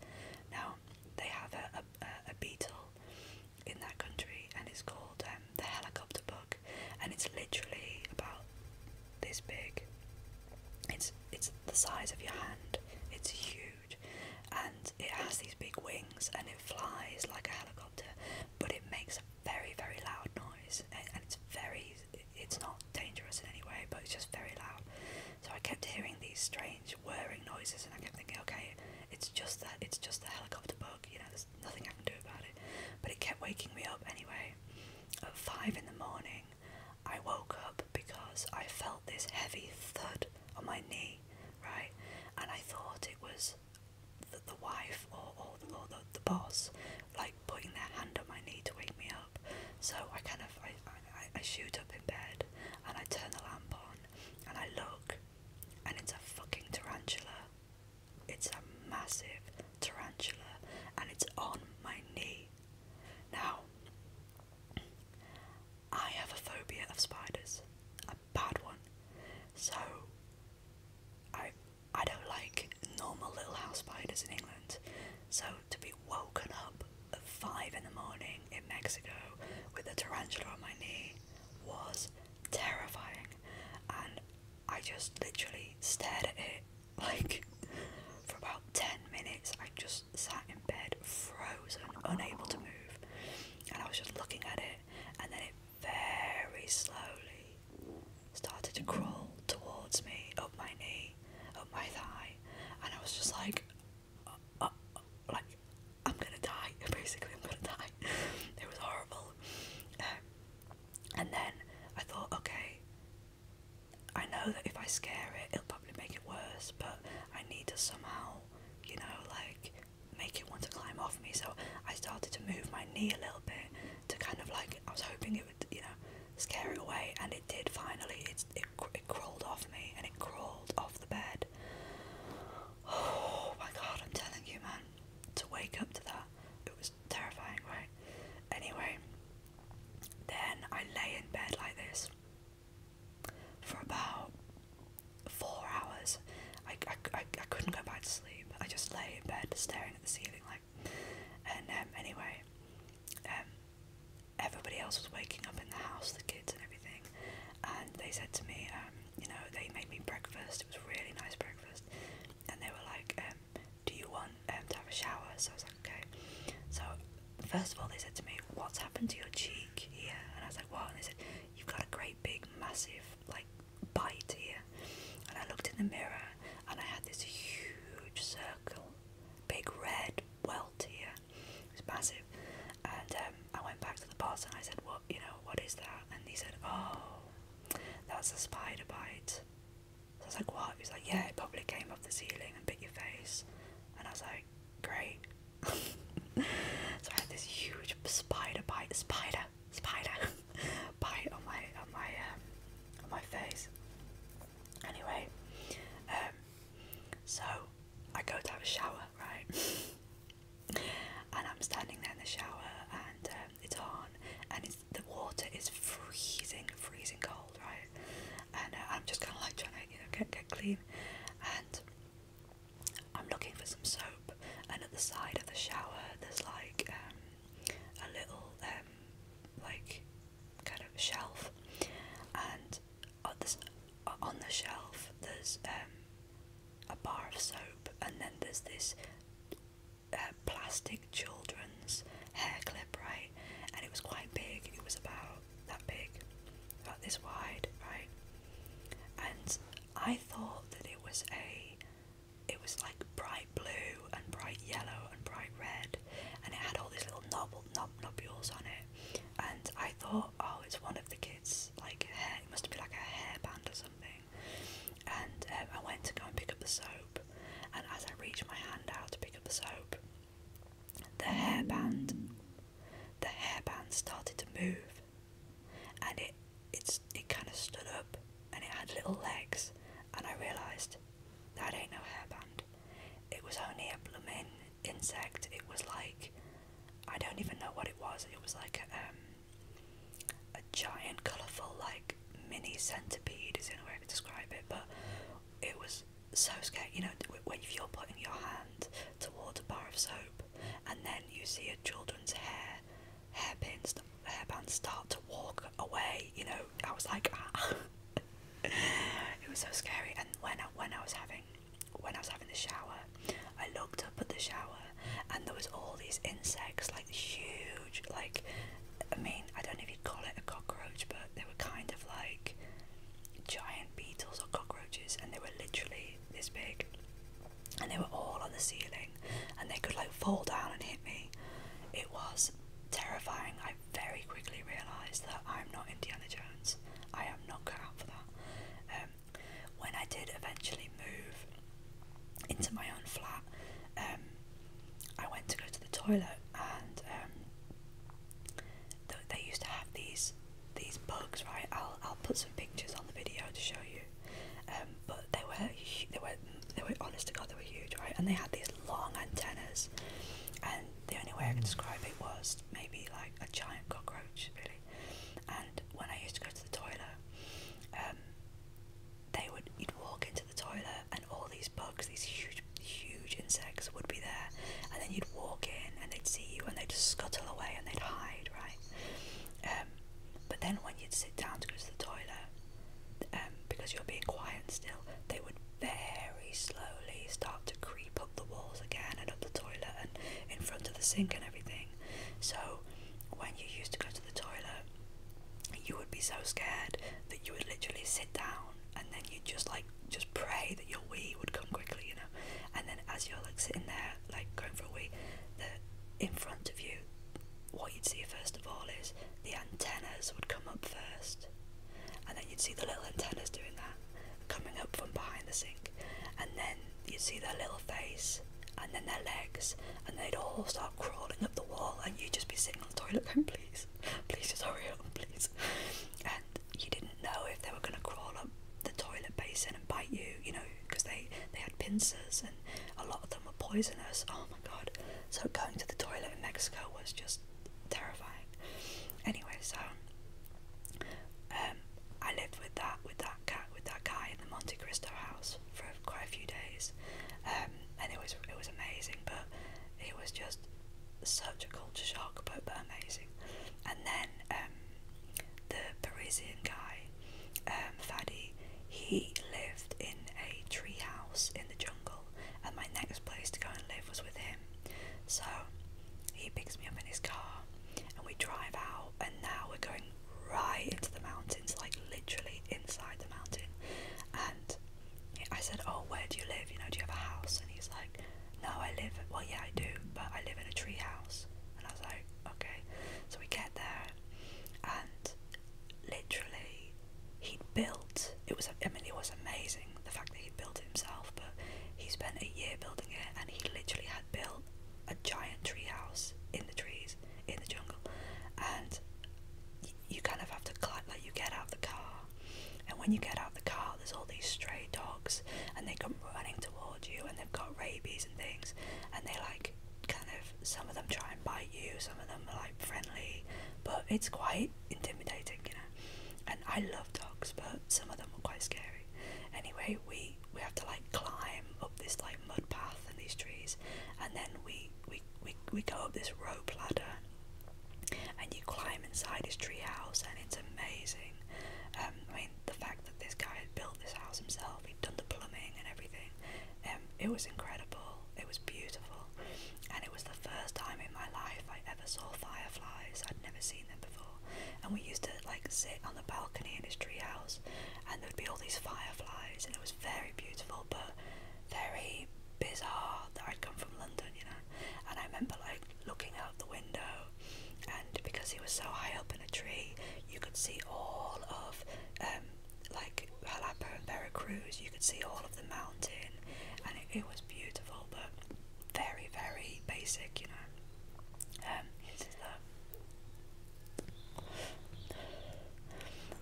Now they have a, a, a beetle in that country, and it's called um, the helicopter bug, and it's literally about this big. It's it's the size of your hand. It's huge, and it has these big wings and it flies like a helicopter, but it makes a very, very loud noise and, and it's very, it's not dangerous in any way, but it's just very loud. So I kept hearing these strange whirring noises and I kept thinking, okay, it's just that, it's just the helicopter bug, you know, there's nothing I can do about it. But it kept waking me up anyway. At five in the morning, I woke up because I felt this heavy thud on my knee, right? And I thought it was the, the wife or, or, the, the boss like putting their hand on my knee to wake me up. So I kind of I, I, I shoot up in bed and I turn the lamp on and I look and it's a fucking tarantula. It's a massive tarantula and it's on my knee. Now I have a phobia of spiders bad one. So I I don't like normal little house spiders in England. So to be woken up at five in the morning in Mexico with a tarantula on my knee was terrifying and I just literally stared at it like for about 10 minutes I just sat in bed frozen unable to move and I was just looking at it and then it very slowly started to crawl towards me, up my knee, up my thigh, and I was just like, uh, uh like I'm gonna die. Basically, I'm gonna die. it was horrible. Um, and then I thought, okay, I know that if I scare it, it'll probably make it worse, but I need to somehow, you know, like make it want to climb off me. So I started to move my knee a little bit to kind of like I was hoping it would, you know, scare it away, and it did. Finally, it it, it crawled off me and it crawled off the bed. Oh my god, I'm telling you, man, to wake up to that, it was terrifying, right? Anyway, then I lay in bed like this for about four hours. I, I, I, I couldn't go back to sleep. I just lay in bed staring at the ceiling like and um, anyway um, everybody else was waking up in the house, the kids and everything and they said to me um, you know they made me breakfast, it was really nice breakfast and they were like um, do you want um, to have a shower? So I was like okay. So first of all they said to me what's happened to your cheek here? And I was like what? And they said you've got a great big massive like bite here and I looked in the mirror and I had this huge circle big red welt here it was massive and um, I went back to the boss and I said what you know what is that and he said oh that's a spider bite I was like what he was like yeah it probably came off the ceiling and bit your face and I was like great so I had this huge spider bite spider spider bite on my on my um, my face. Anyway, um, so I go to have a shower, right? and I'm standing there in the shower, and um, it's on, and it's, the water is freezing, freezing cold, right? And uh, I'm just kind of like trying to, you know, get get clean, and I'm looking for some soap, and at the side of the shower, there's like um, a little um, like kind of shelf, and on, this, uh, on the shelf there's um, a bar of soap, and then there's this uh, plastic children's hair clip, right? And it was quite big. It was about that big, about this wide, right? And I thought that it was a it was like bright blue and bright yellow and bright red, and it had all these little knob knob nobules on it. And I thought, oh, it's one of the kids' like hair. It must have been like a hairband or something. And um, I went to go and pick up the soap, and as I reached my hand out to pick up the soap, the hairband, the hairband started to move and it it's it kind of stood up and it had little legs and I realised that ain't no hairband. It was only a blooming insect. It was like I don't even know what it was. It was like a, um, a giant, colourful, like mini centipede is the only way I could describe it. But it was so scary. You know, when you're putting your hand towards a bar of soap and then you see a children's hair hairpins, hairbands start to walk away. You know, I was like, it was so scary. And when I, when I was having when I was having the shower, I looked up at the shower, and there was all these insects, like huge, like I mean, I don't know if you'd call it a cockroach, but they were kind of like giant beetles or cockroaches, and they were literally this big and they were all on the ceiling and they could like fall down and hit me. It was terrifying. I very quickly realised that I'm not Indiana Jones. I am not cut out for that. Um, when I did eventually move into my own flat, um, I went to go to the toilet and um, they used to have these these bugs, right? I'll I'll put some pictures on the video to show you. Um, but they were they were they were honest to god they were huge, right? And they had these long antennas, and the only way I could mm. describe it was maybe like a giant cockroach, really. And when I used to go to the toilet, um, they would you'd walk into the toilet, and all these bugs, these huge huge insects, would be there, and then you'd walk in, and they'd see you, and they'd scuttle away, and they'd hide, right? Um, but then when you'd sit down to go to the toilet, um, because you're being quiet still, they would very slowly start to creep up the walls again and up the toilet and in front of the sink and everything. So when you used to go to the toilet, you would be so scared that you would literally sit down and then you just like just pray that your wee would come quickly, you know. And then as you're like sitting there, like going for a wee, the in front of you what you'd see first of all is the antennas would come up first, and then you'd see the little antennas doing that, coming up from behind the sink, and then you'd see their little face, and then their legs, and they'd all start crawling up the wall, and you'd just be sitting on the toilet "Come please, please just hurry up, please. And you didn't know if they were going to crawl up the toilet basin and bite you, you know, because they they had pincers and a lot of them were poisonous. Oh my god! So going to the toilet in Mexico was just terrifying. Anyway, so um, I lived with that with that cat with that guy in the Monte Cristo house for quite a few days, um, and it was it was amazing, but it was just such a culture shock, but, but amazing. And then um, the Parisian guy um, he lived in a tree house in the jungle, and my next place to go and live was with him. So he picks me up in his car, and we drive out, and now we're going right into the mountains, like literally inside the mountain. And I said, Oh, where do you live? You know, do you have a house? And he's like, No, I live, well, yeah, I do, but I live in a tree house. And I was like, Okay. So we get there, and literally he'd built it was I mean it was amazing the fact that he'd built it himself but he spent a year building it and he literally had built a giant tree house in the trees in the jungle and you kind of have to climb like you get out the car and when you get out of the car there's all these stray dogs and they come running towards you and they've got rabies and things and they like kind of some of them try and bite you, some of them are like friendly, but it's quite intimidating, you know. And I love dogs, but some of them are quite scary. Anyway, we we have to like climb up this like mud path and these trees, and then we we we we go up this rope ladder, and you climb inside this tree house, and it's amazing. Um, I mean, the fact that this guy had built this house himself, he'd done the plumbing and everything, um, it was incredible, it was beautiful, and it was the first time in my life I ever saw fireflies. I'd never seen them before. And we used to like sit on the balcony in his treehouse, and there'd be all these fireflies, and it was very beautiful, but very bizarre that I'd come from London, you know. And I remember like looking out the window, and because he was so high up in a tree, you could see all of um, like Jalapa and Veracruz, you could see all of the mountain, and it, was beautiful, but very, very basic, you know. Um,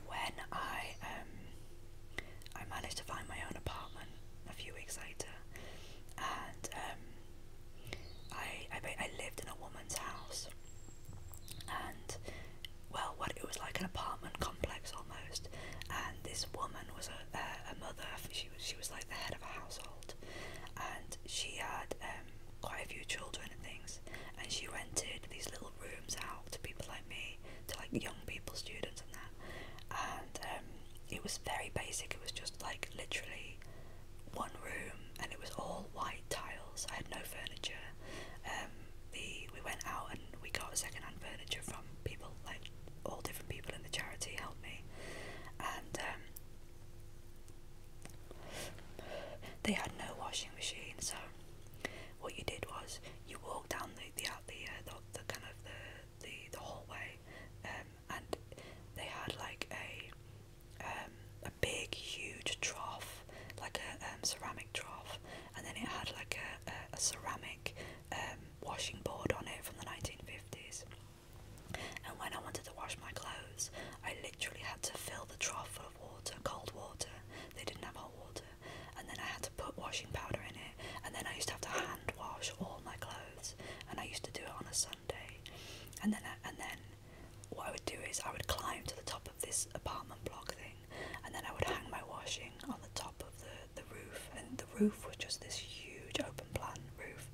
when I um, I managed to find my own apartment a few weeks later, and um, I, I I lived in a woman's house, and well, what it was like an apartment complex almost, and this woman was a, a mother. She was she was like the head of a household, and she had um, quite a few children and things. And she rented these little rooms out to people like me, to like young people, students, and that. And um, it was very basic. It was just like literally one room, and it was all white tiles. I had no furniture. Um, the we went out and we got second hand furniture from people like all different people in the charity helped me, and um, they had no washing machine. So what you did was you walked down the the the, uh, the, kind of the the, the hallway, um, and they had like a um, a big huge trough like a um, ceramic trough, and then it had like a, a, a ceramic um, washing board on it from the 1950s. And when I wanted to wash my clothes, I literally had to fill the trough full of water, cold water. They didn't have hot water. And then I had to put washing powder in it. And then I used to have to hand wash all my clothes. And I used to do it on a Sunday. And then, I, and then, what I would do is I would climb to the top of this apartment block thing and then I would hang my washing on the top of the, the roof. And the roof was just this huge open plan roof,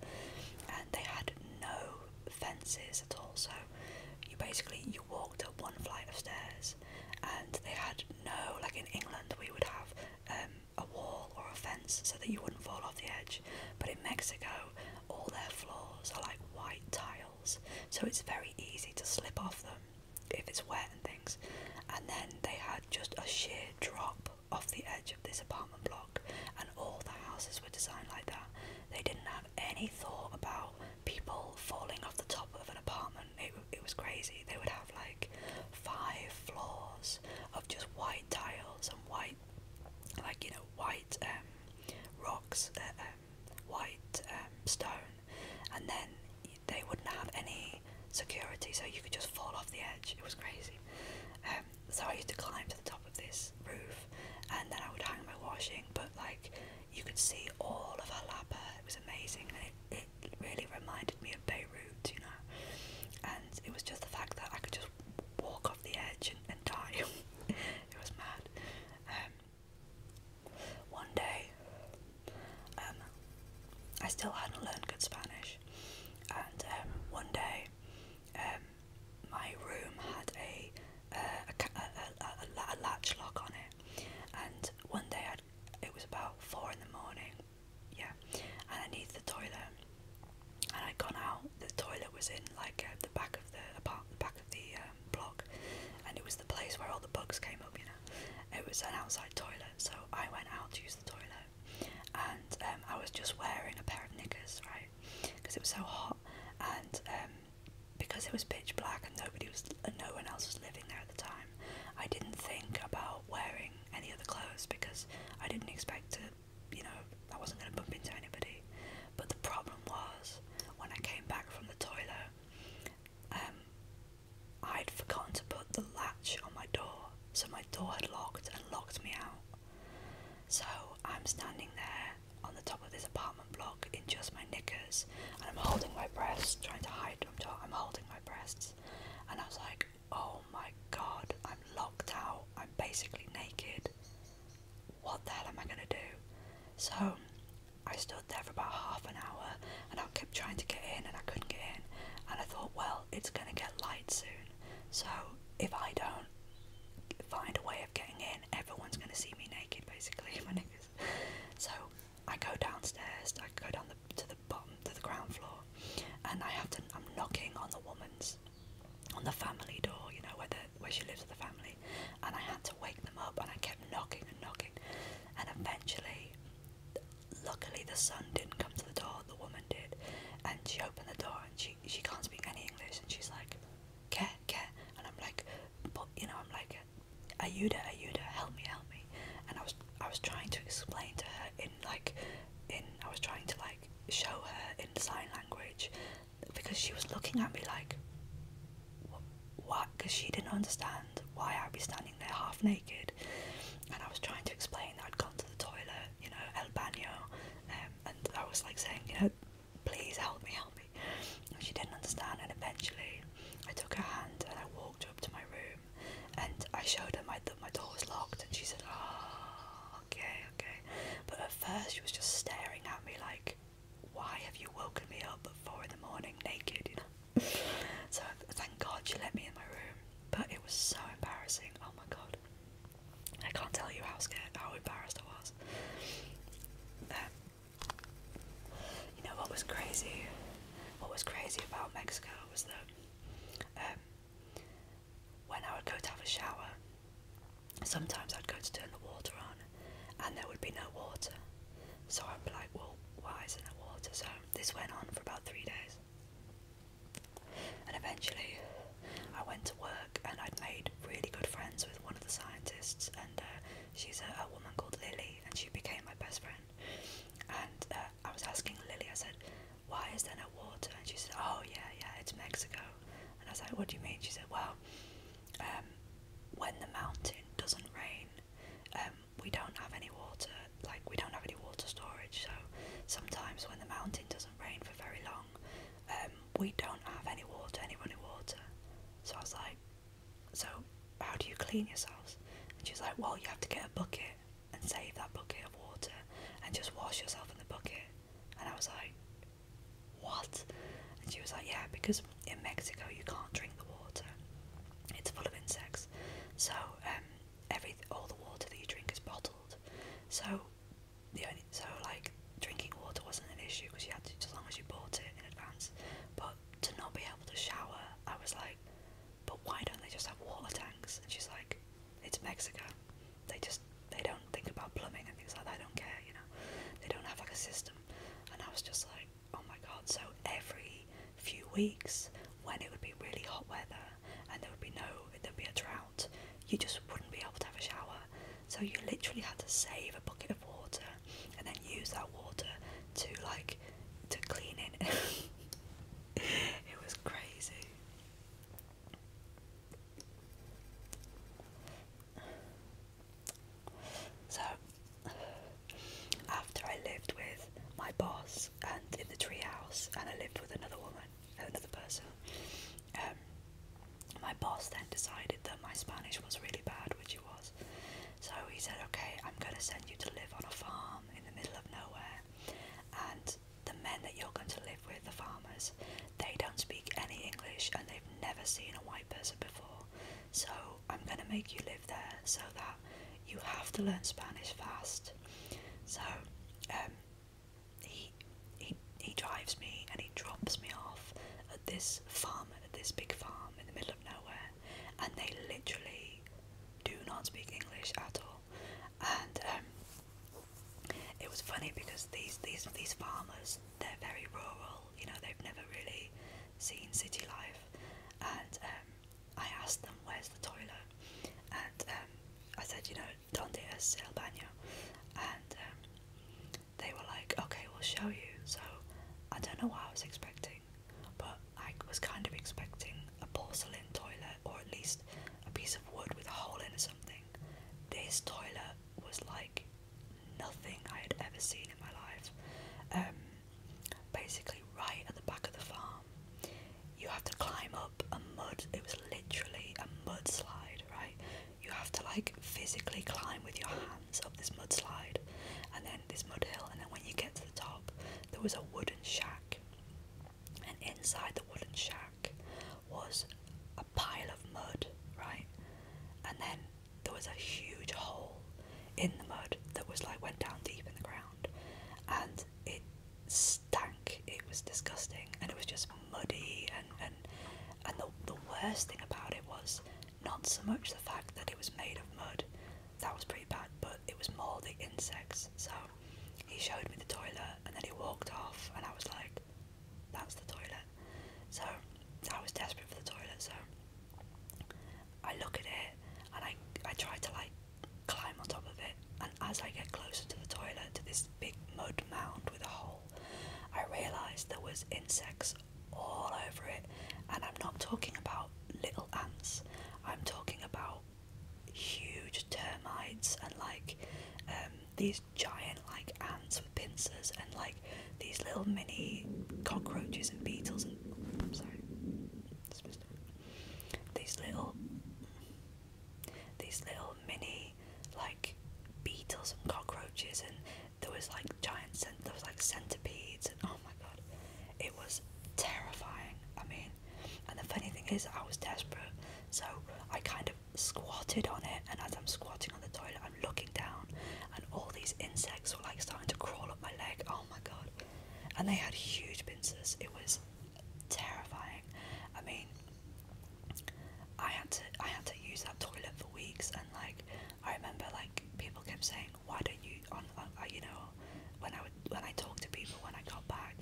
and they had no fences at all. So you basically you walked up one flight of stairs, and they had no like in England we would have um, a wall or a fence so that you wouldn't fall off the edge. But in Mexico, all their floors are like white tiles, so it's very easy to slip off them if it's wet and things. And then they had just a sheer drop off the edge of this apartment block, and all the houses were designed like that. They didn't have any thought about people falling off the top of an apartment. It, it was crazy. They would have like five floors of just white tiles and white, like you know, white um, rocks, uh, uh, um, white um, stone, and then they wouldn't have any security, so you could just fall off the edge. It was crazy. Um, so I used to climb to the top of this roof, and then I would hang my washing. But like, you could see all of Halapa. It was amazing, it, it really reminded me of Beirut, you know. And it was just the fact that I could just walk off the edge and, die. it was mad. One day, um, I still hadn't learned good Spanish, and um, one day, um, my room had a, uh, a, a, a, latch lock on it, and one day i it was about four in the morning, yeah, and I needed the toilet, and I'd gone out. The toilet was in like uh, the back of the apart, the back of the um, block, and it was the place where all the bugs came up. You know, it was an outside toilet, so I went out to use the toilet, and um, I was just wearing a pair of knickers, right, because it was so hot, and um, because it was pitch black and nobody was, uh, no one else was living there at the time. I didn't think about wearing any other clothes because I didn't expect to, you know, I wasn't going to bump into anybody. But the problem was when I came back from the toilet, um, I'd forgotten to put the latch on my door, so my door had locked and locked me out. So I'm standing there on the top of this apartment block in just my knickers, and I'm holding my breath, trying to hide them. I'm holding my breasts, and I was like, "Oh my god, I'm locked out. I'm basically naked. What the hell am I gonna do?" So I stood there for about half an hour and I kept trying to get in and I couldn't get in. And I thought, well, it's going to get light soon. So if I don't find a way of getting in, everyone's going to see me naked basically. So I go downstairs, I go down the, to the bottom, to the ground floor, and I have to, I'm knocking on the woman's, on the family door, you know, where, the, where she lives with the family. And I had to wake them up and I kept knocking and knocking and eventually, luckily, the son didn't come to the door, the woman did, and she opened the door and she, she can't speak any English, and she's like, Care, care, and I'm like, but you know, I'm like, Ayuda, Ayuda, help me, help me, and I was I was trying to explain to her in like, in I was trying to like show her in sign language because she was looking at me like what because she didn't understand why I'd be standing there half naked and I was trying to explain that I'd gone to the toilet you know el baño um, and I was like saying you know please help me help me and she didn't understand and eventually I took her hand and I walked her up to my room and I showed her my, that my door was locked and she said oh okay okay but at first she was just staring at me like why have you woken me up at four in the morning naked so thank God you let me in my room, but it was so embarrassing. Oh my God, I can't tell you how scared, how embarrassed I was. Um, you know what was crazy? What was crazy about Mexico was that um, when I would go to have a shower, sometimes I'd go to turn the water on, and there would be no water. So I'm like, well, why is there no water? So this went on for about three days. And eventually, I went to work and I'd made really good friends with one of the scientists, and uh, she's a, woman called Lily, and she became my best friend. And uh, I was asking Lily, I said, why is there no water? And she said, oh, yeah, yeah, it's Mexico. And I was like, what do you mean? She said, well, um, when the mountain doesn't rain, um, um, we don't have any water, like we don't have any water storage. So sometimes when the mountain doesn't rain for very long, um, we don't have any water, any running water. So I was like, so how do you clean yourselves? And she was like, well, you have to get a bucket and save that bucket of water and just wash yourself in the bucket. And I was like, what? And she was like, yeah, because in Mexico you can't drink the water; it's full of insects. So um, every all the water that you drink is bottled. So the only so like drinking water wasn't an issue because you had to as long as you bought it in advance. But to not be able to shower, I was like, but why don't they just have water tanks? And she's like, it's Mexico. They just they don't think about plumbing and things like that. They don't care, you know. They don't have like a system. And I was just like, oh my god, so every few weeks when it would be really hot weather and there would be no, there'd be a drought, you just wouldn't be able to have a shower. So you literally had to save a bucket of water and then use that water to like to clean it. it was crazy. So after I lived with my boss and in the treehouse, and I lived with another woman, another person. Um, my boss then decided that my Spanish was really bad, which it was. So he said, "Okay, I'm gonna send you to live on a farm in the middle of nowhere, and." The men that you're going to live with, the farmers, they don't speak any English and they've never seen a white person before. So I'm going to make you live there so that you have to learn Spanish fast. So um, he, he, he drives me and he drops me off at this farm, at this big farm in the middle of nowhere, and they literally do not speak English at all. And um, it was funny because these, these, these farmers, they're very rural, you know, they've never really seen city life. And um, I asked them where's the toilet, and um, I said, you know, donde es el baño, and um, they were like, okay, we'll show you. So I don't know what I was expecting, but I was kind of expecting a porcelain toilet or at least a piece of wood with a hole in or something. This toilet was like nothing I had ever seen in my life. Um, basically right at the back of the farm. You have to climb up a mud, it was literally a mudslide, right? You have to like physically climb with your hands up this mudslide and then this mud hill, and then when you get to the top, there was a wooden shack, and inside the wooden shack was a pile of mud, right? And then there was a huge hole in the mud that was like went down deep in the ground and it stank it was disgusting and it was just muddy and and, and the, the worst thing about it was not so much the fact that it was made of mud that was pretty bad but it was more the insects so he showed me the toilet and then he walked off and i was like that's the toilet so i was desperate for the toilet so I look at it and I, I try to like climb on top of it. And as I get closer to the toilet, to this big mud mound with a hole, I realise there was insects all over it. And I'm not talking about little ants. I'm talking about huge termites and like um, these giant like ants with pincers and like these little mini cockroaches and beetles and I'm sorry dismissed them. These little, these little mini, like beetles and cockroaches, and there was like giant, cent there was like centipedes, and oh my god, it was terrifying. I mean, and the funny thing is, I was desperate, so I kind of squatted on it, and as I'm squatting on the toilet, I'm looking down, and all these insects were like starting to crawl up my leg. Oh my god. And they had huge pincers. It was terrifying. I mean I had to I had to use that toilet for weeks and like I remember like people kept saying, Why don't you on, uh, you know, when I would when I talked to people when I got back,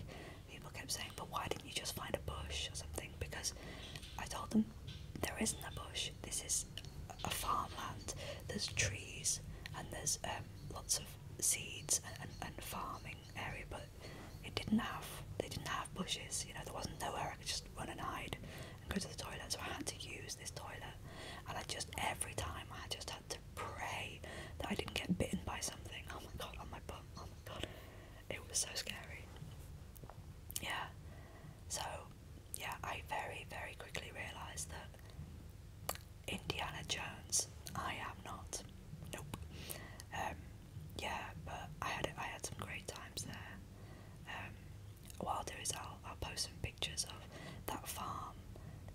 people kept saying, But why didn't you just find a bush or something? Because I told them there isn't a bush. This is a farmland. There's trees and there's um, lots of seeds and, and, and farming area, but it didn't have they didn't have bushes. You know, there wasn't nowhere I could just run and hide and go to the toilet. So I had to use this toilet, and I just every time I just had to pray that I didn't get bitten by something. Oh my god, on my bum. Oh my god, it was so scary. Yeah. So yeah, I very very quickly realised that Indiana Jones. I am not. Nope. Um, yeah, but I had I had some great times there. Um, what I'll do is I'll I'll post some pictures of that farm.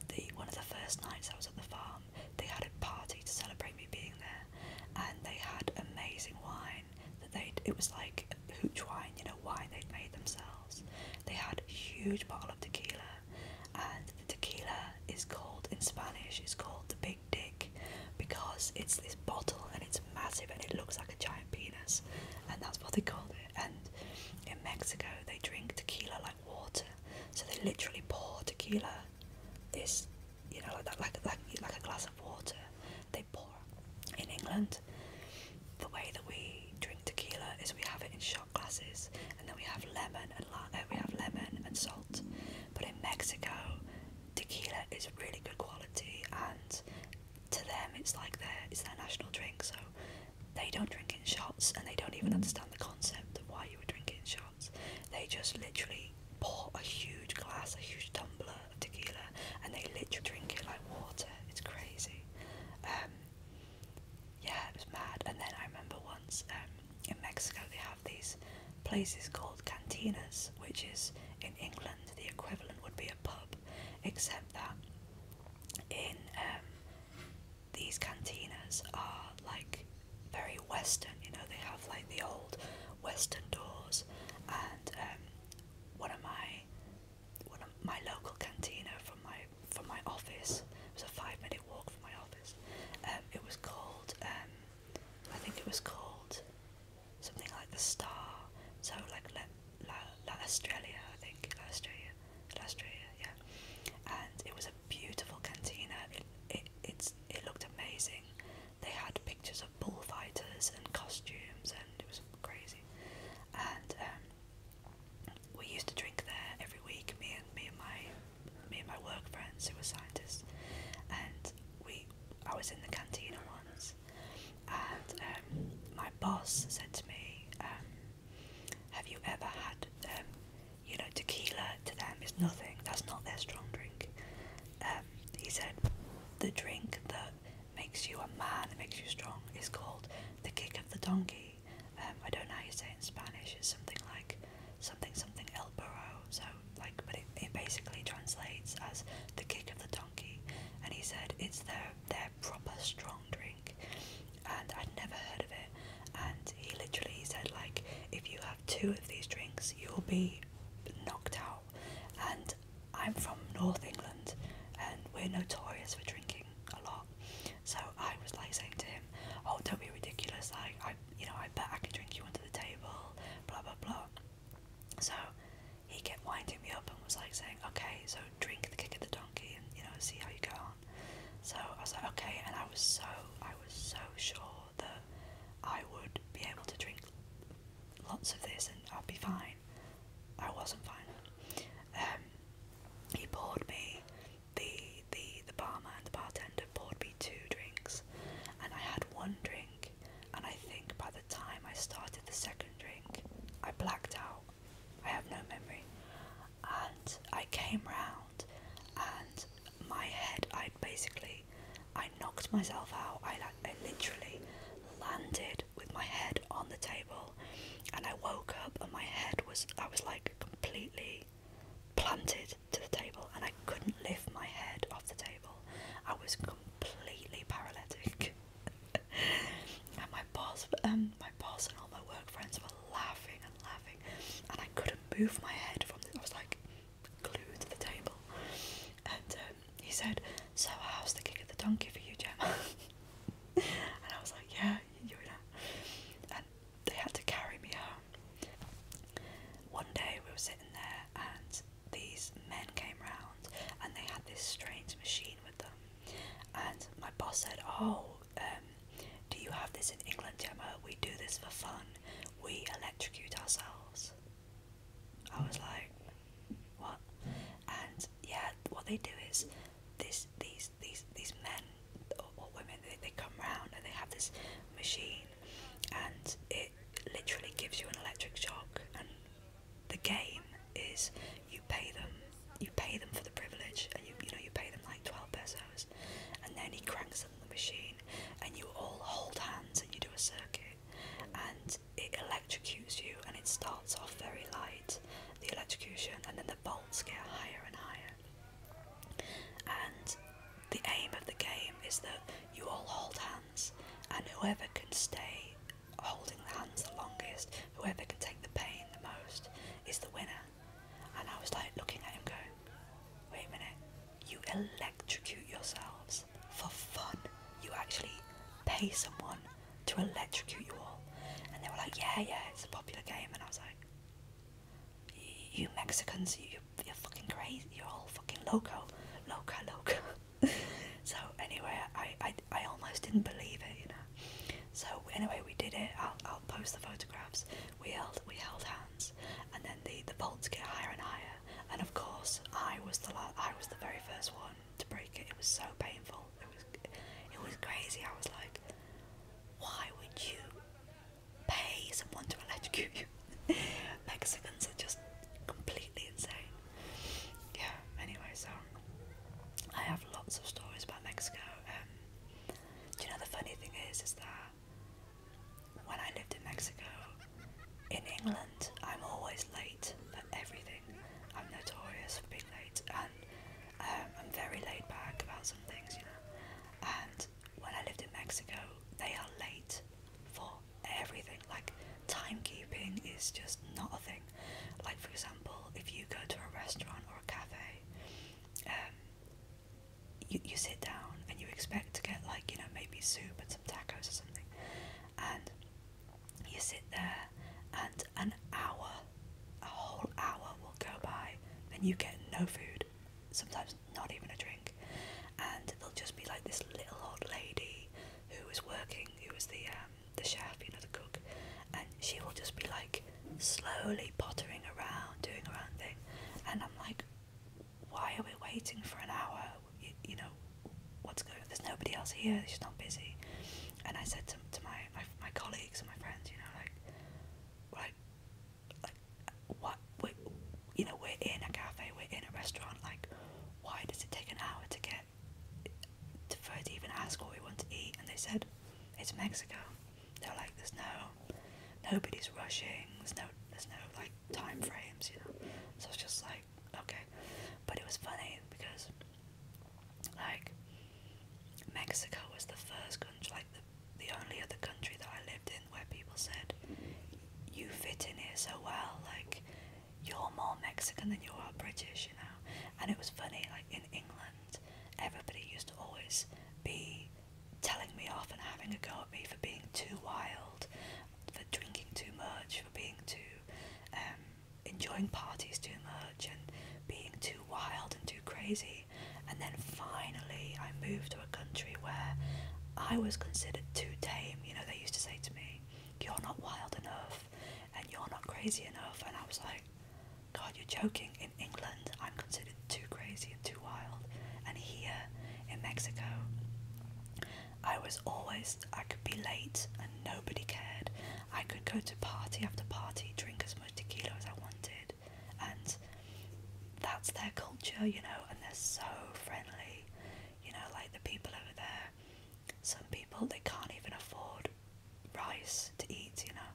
The one of the first nights I was at the farm, they had a party to celebrate me being there, and they had amazing wine that they it was like hooch wine, you know, wine they made themselves. They had a huge bottle of tequila and tequila is called in Spanish it's called the big dick because it's this bottle and it's massive and it looks like a giant penis and that's what they call it and in Mexico they drink tequila like water so they literally pour tequila this you know like like like like a glass of water they pour in England the way that we drink tequila is we have it in shots glasses, and then we have lemon and uh, we have lemon and salt. But in Mexico, tequila is really good quality, and to them, it's like their it's their national drink. So they don't drink in shots, and they don't even mm. understand the concept of why you would drink in shots. They just literally pour a huge glass, a huge tumbler of tequila, and they literally drink it like water. It's crazy. Um, yeah, it was mad. And then I remember once um, in Mexico they have these places called cantinas, which is in England the equivalent would be a pub, except that in um, these cantinas are like very Western. You know, they have like the old Western doors, and um, one of my one of my local cantina from my from my office. It was a five-minute walk from my office. Um, it was called. Um, I think it was called something like the Star. So like La, La, Australia, I think La Australia, La Australia, yeah. And it was a beautiful cantina. It it it's, it looked amazing. They had pictures of bullfighters and costumes, and it was crazy. And um, we used to drink there every week. Me and me and my me and my work friends who were scientists, and we I was in the cantina once, and um, my boss said to me, um, "Have you ever had um, you know tequila? To them is nothing. That's not their strong drink." Um, he said, "The drink that makes you a man, that makes you strong, is called the kick of the donkey." Um, I don't know how you say in Spanish. It's something like something something El Burro. So like, but it, it basically translates as the kick of the donkey. And he said it's their their proper strong drink, and I'd never heard of it. And he literally said like, if you have two of these drinks, you'll be knocked out. And I'm from North England, and we're notorious for drinking a lot. So I was like saying to him, "Oh, don't be ridiculous! Like I, you know, I bet I could drink you under the table, blah blah blah." So he kept winding me up and was like saying, "Okay, so drink the kick of the donkey and you know see how you go on." So I was like, "Okay," and I was so I was so sure that I would be able to drink lots of this and I'd be fine. I wasn't fine. Um, he poured me the the the barman and the bartender poured me two drinks, and I had one drink, and I think by the time I started the second drink, I blacked out. I have no memory, and I came round, and my head, I basically, I knocked myself out. I I literally landed with my head on the table, and I woke up, and my head was, I was like completely planted to the table and I couldn't lift my head off the table. I was completely paralytic. and my boss um my boss and all my work friends were laughing and laughing and I couldn't move my head from the I was like glued to the table. And um, he said, So how's the kick of the donkey for you, Gemma? and I was like, Yeah, you're in it they had to carry me home. One day we were sitting there and these men came round and they had this strange machine with them. And my boss said, "Oh, um, do you have this in England, Gemma? We do this for fun. We electrocute ourselves." I was like, "What?" And yeah, what they do is this: these these these men or women they, they come round and they have this machine and it literally gives you an electric shock and the game is you pay them you pay them for the privilege and you you know you pay them like 12 pesos and then he cranks them the machine and you all hold hands and you do a circuit and it electrocutes you and it starts off very light the electrocution and then the bolts get higher and higher and the aim of the game is that you all hold hands, and whoever can stay holding the hands the longest, whoever can take the pain the most, is the winner. And I was like looking at him going, wait a minute, you electrocute yourselves for fun. You actually pay someone to electrocute you all. And they were like, yeah, yeah, it's a popular game. And I was like, you Mexicans, you, you're fucking crazy. You're all fucking loco, loca, loca. so anyway, I, I, I almost didn't believe it, you know. So anyway, we did it. I'll, I'll post the photographs. We held, we held hands, and then the the bolts get higher and higher. And of course, I was the I was the very first one to break it. It was so painful. It was, it was crazy. I was like, why would you pay someone to electrocute you. Mexicans are just completely insane. Yeah, anyway, so I have lots of stories about Mexico. Um, do you know the funny thing is, is that when I lived in Mexico, in England, I'm always late for everything. I'm notorious for being late, and um, I'm very laid back about some things, you know. And when I lived in Mexico, they are late for everything. Like, timekeeping is just not a thing. Like, for example, if you go to a restaurant or a cafe, um, you, you sit down and you expect to get, like, you know, maybe soup and some tacos or something, and you sit there, and an hour, a whole hour will go by, and you get no food sometimes not even a drink, and there'll just be like this little old lady who is working, who is the um, the chef, you know, the cook, and she will just be like slowly pottering around, doing her own thing, and I'm like, why are we waiting for an hour? You, know, what's going? on? There's nobody else here. She's not busy. And I said to, to my, my my colleagues and my friends, you know, like, like, like what we you know we're in a cafe we're in a restaurant like why does it take an hour to get to, for even ask what we want to eat and they said it's Mexico they're like there's no nobody's rushing there's no there's no like time frames you know so it's just like okay but it was funny because like Mexico was the first country like the only other country that I lived in where people said, "You fit in here so well. Like you're more Mexican than you are British," you know. And it was funny. Like in England, everybody used to always be telling me off and having a go at me for being too wild, for drinking too much, for being too um, enjoying parties too much, and being too wild and too crazy and then finally I moved to a country where I was considered too tame. You know, they used to say to me, You're not wild enough, and you're not crazy enough. And I was like, God, you're joking. In England, I'm considered too crazy and too wild, and here in Mexico, I was always, I could be late and nobody cared. I could go to party after party, drink as much tequila as I wanted, and that's their culture, you know, and they're so friendly, you know, like the people over there. Some people they can't even afford rice to eat, you know,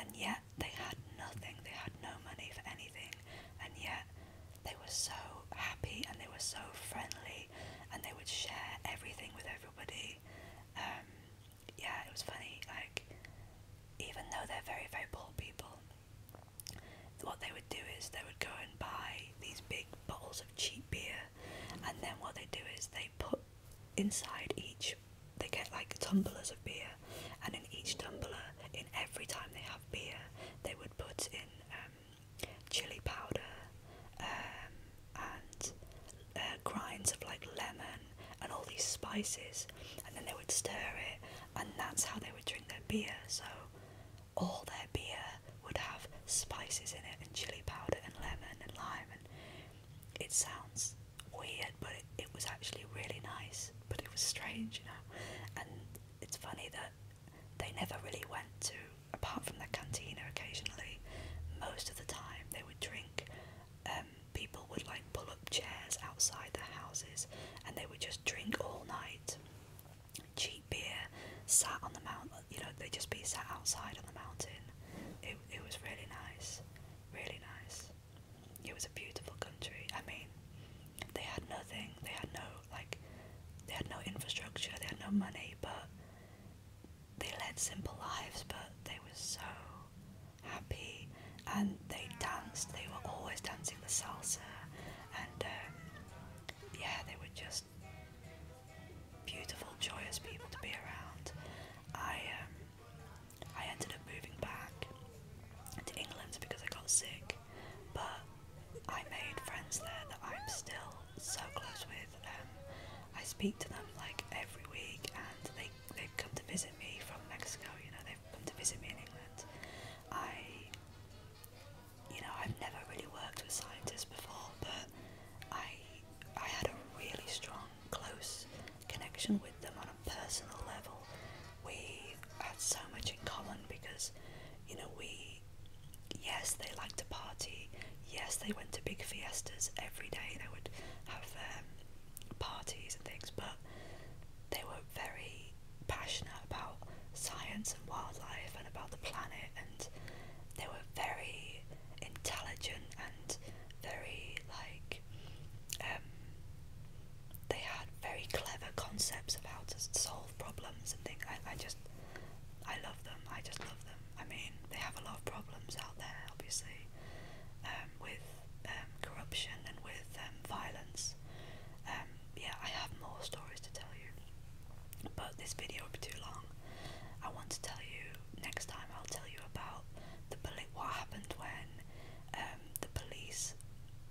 and yet they had nothing, they had no money for anything, and yet they were so happy and they were so friendly and they would share everything with everybody. Um, yeah, it was funny, like, even though they're very, very poor people what they would do is they would go and buy these big bottles of cheap beer, and then what they do is they put inside each, they get like tumblers of beer, and in each tumbler, in every time they have beer, they would put in um, chili powder um, and uh, grinds of like lemon and all these spices, and then they would stir it, and that's how they would drink their beer, so all their beer would have spices in it and chili powder and lemon and lime and it sounds weird but it, was actually really nice but it was strange you know and it's funny that they never really went to apart from the cantina occasionally most of the time they would drink um, people would like pull up chairs outside their houses and they would just drink all night. Cheap beer, sat on the mountain, you know, they just be sat outside on the mountain. it was really nice, really nice. It was a beautiful country. I mean, they had nothing, they had no, like, they had no infrastructure, they had no money, but they led simple lives, but they were so happy and they danced. They were always dancing the salsa, and uh, yeah, they were just beautiful, joyous people to be around. I um, I ended up moving back to England because I got sick, but I made friends there that I'm still so close with. Um, I speak to them like every week, and they they've come to visit me from Mexico. You know, they've come to visit me in England, I, you know, I've never really worked with scientists before, but I, I had a really strong, close connection with them on a personal level. We had so much in common because, you know, we, yes, they liked to party. Yes, they went to big fiestas every day. They would have um, parties and things, but they were very passionate about science and wildlife and about the planet, and they were very intelligent and very like um, they had very clever concepts about how to solve problems and things. I, I just I love them. I just love them. I mean, they have a lot of problems out there, obviously, um, with um, corruption and with violence yeah, I have more stories to tell you, but this video would be too long. I want to tell you next time. I'll tell you about the poli what happened when um, the police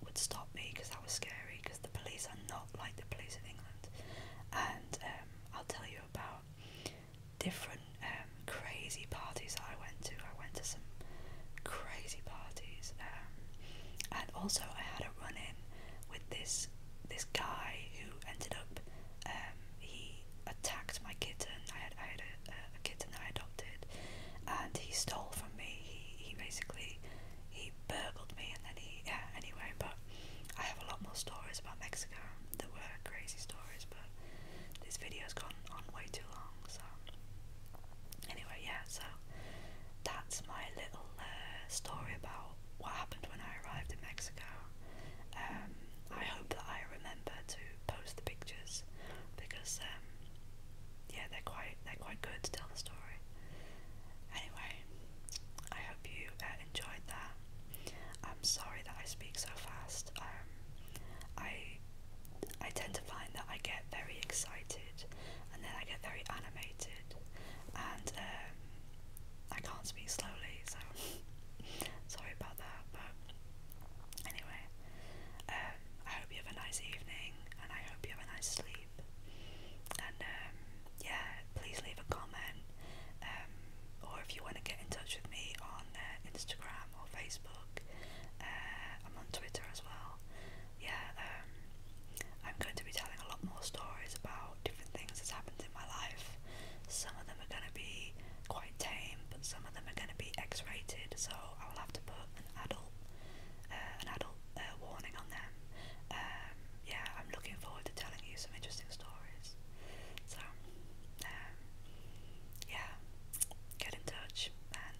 would stop me because that was scary. Because the police are not like the police in England, and um, I'll tell you about different um, crazy parties that I went to. I went to some crazy parties, and also I had a run in with this this guy who ended up um, he attacked my kitten. I had I had a, kitten that I adopted, and he stole from me. He he basically he burgled me, and then he yeah. Anyway, but I have a lot more stories about Mexico that were crazy stories, but this video's gone on way too long, so. Anyway, yeah, so that's my little uh, story about what happened when I arrived in Mexico. Um, I hope that I remember to post the pictures because um, yeah, they're quite they're quite good to tell the story. Anyway, I hope you uh, enjoyed that. I'm sorry that I speak so fast. Um, I I tend to find that I get very excited and then I get very animated and um, I can't speak slowly, so sorry about that. But anyway, um, I hope you have a nice evening, and I hope you have a nice sleep. And um, yeah, please leave a comment, or if you want to get in touch with me on uh, Instagram or Facebook, uh, I'm on Twitter as well yeah, um, I'm going to be telling a lot more stories about different things that's happened in my life. Some of them are going to be quite tame, but some of them are going to be X-rated, so I will have to put an adult, uh, an adult uh, warning on them. Um, yeah, I'm looking forward to telling you some interesting stories. So, um, yeah, get in touch and.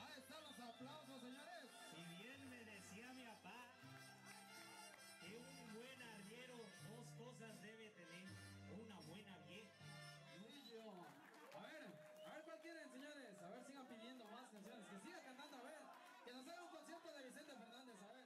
Ahí están los aplausos, señores. Si bien me decía mi papá que un buen arriero dos cosas debe tener, una buena vieja. A ver, a ver cuál quieren, señores. A ver, sigan pidiendo más canciones. Que siga cantando, a ver. Que nos haga un concierto de Vicente Fernández, a ver.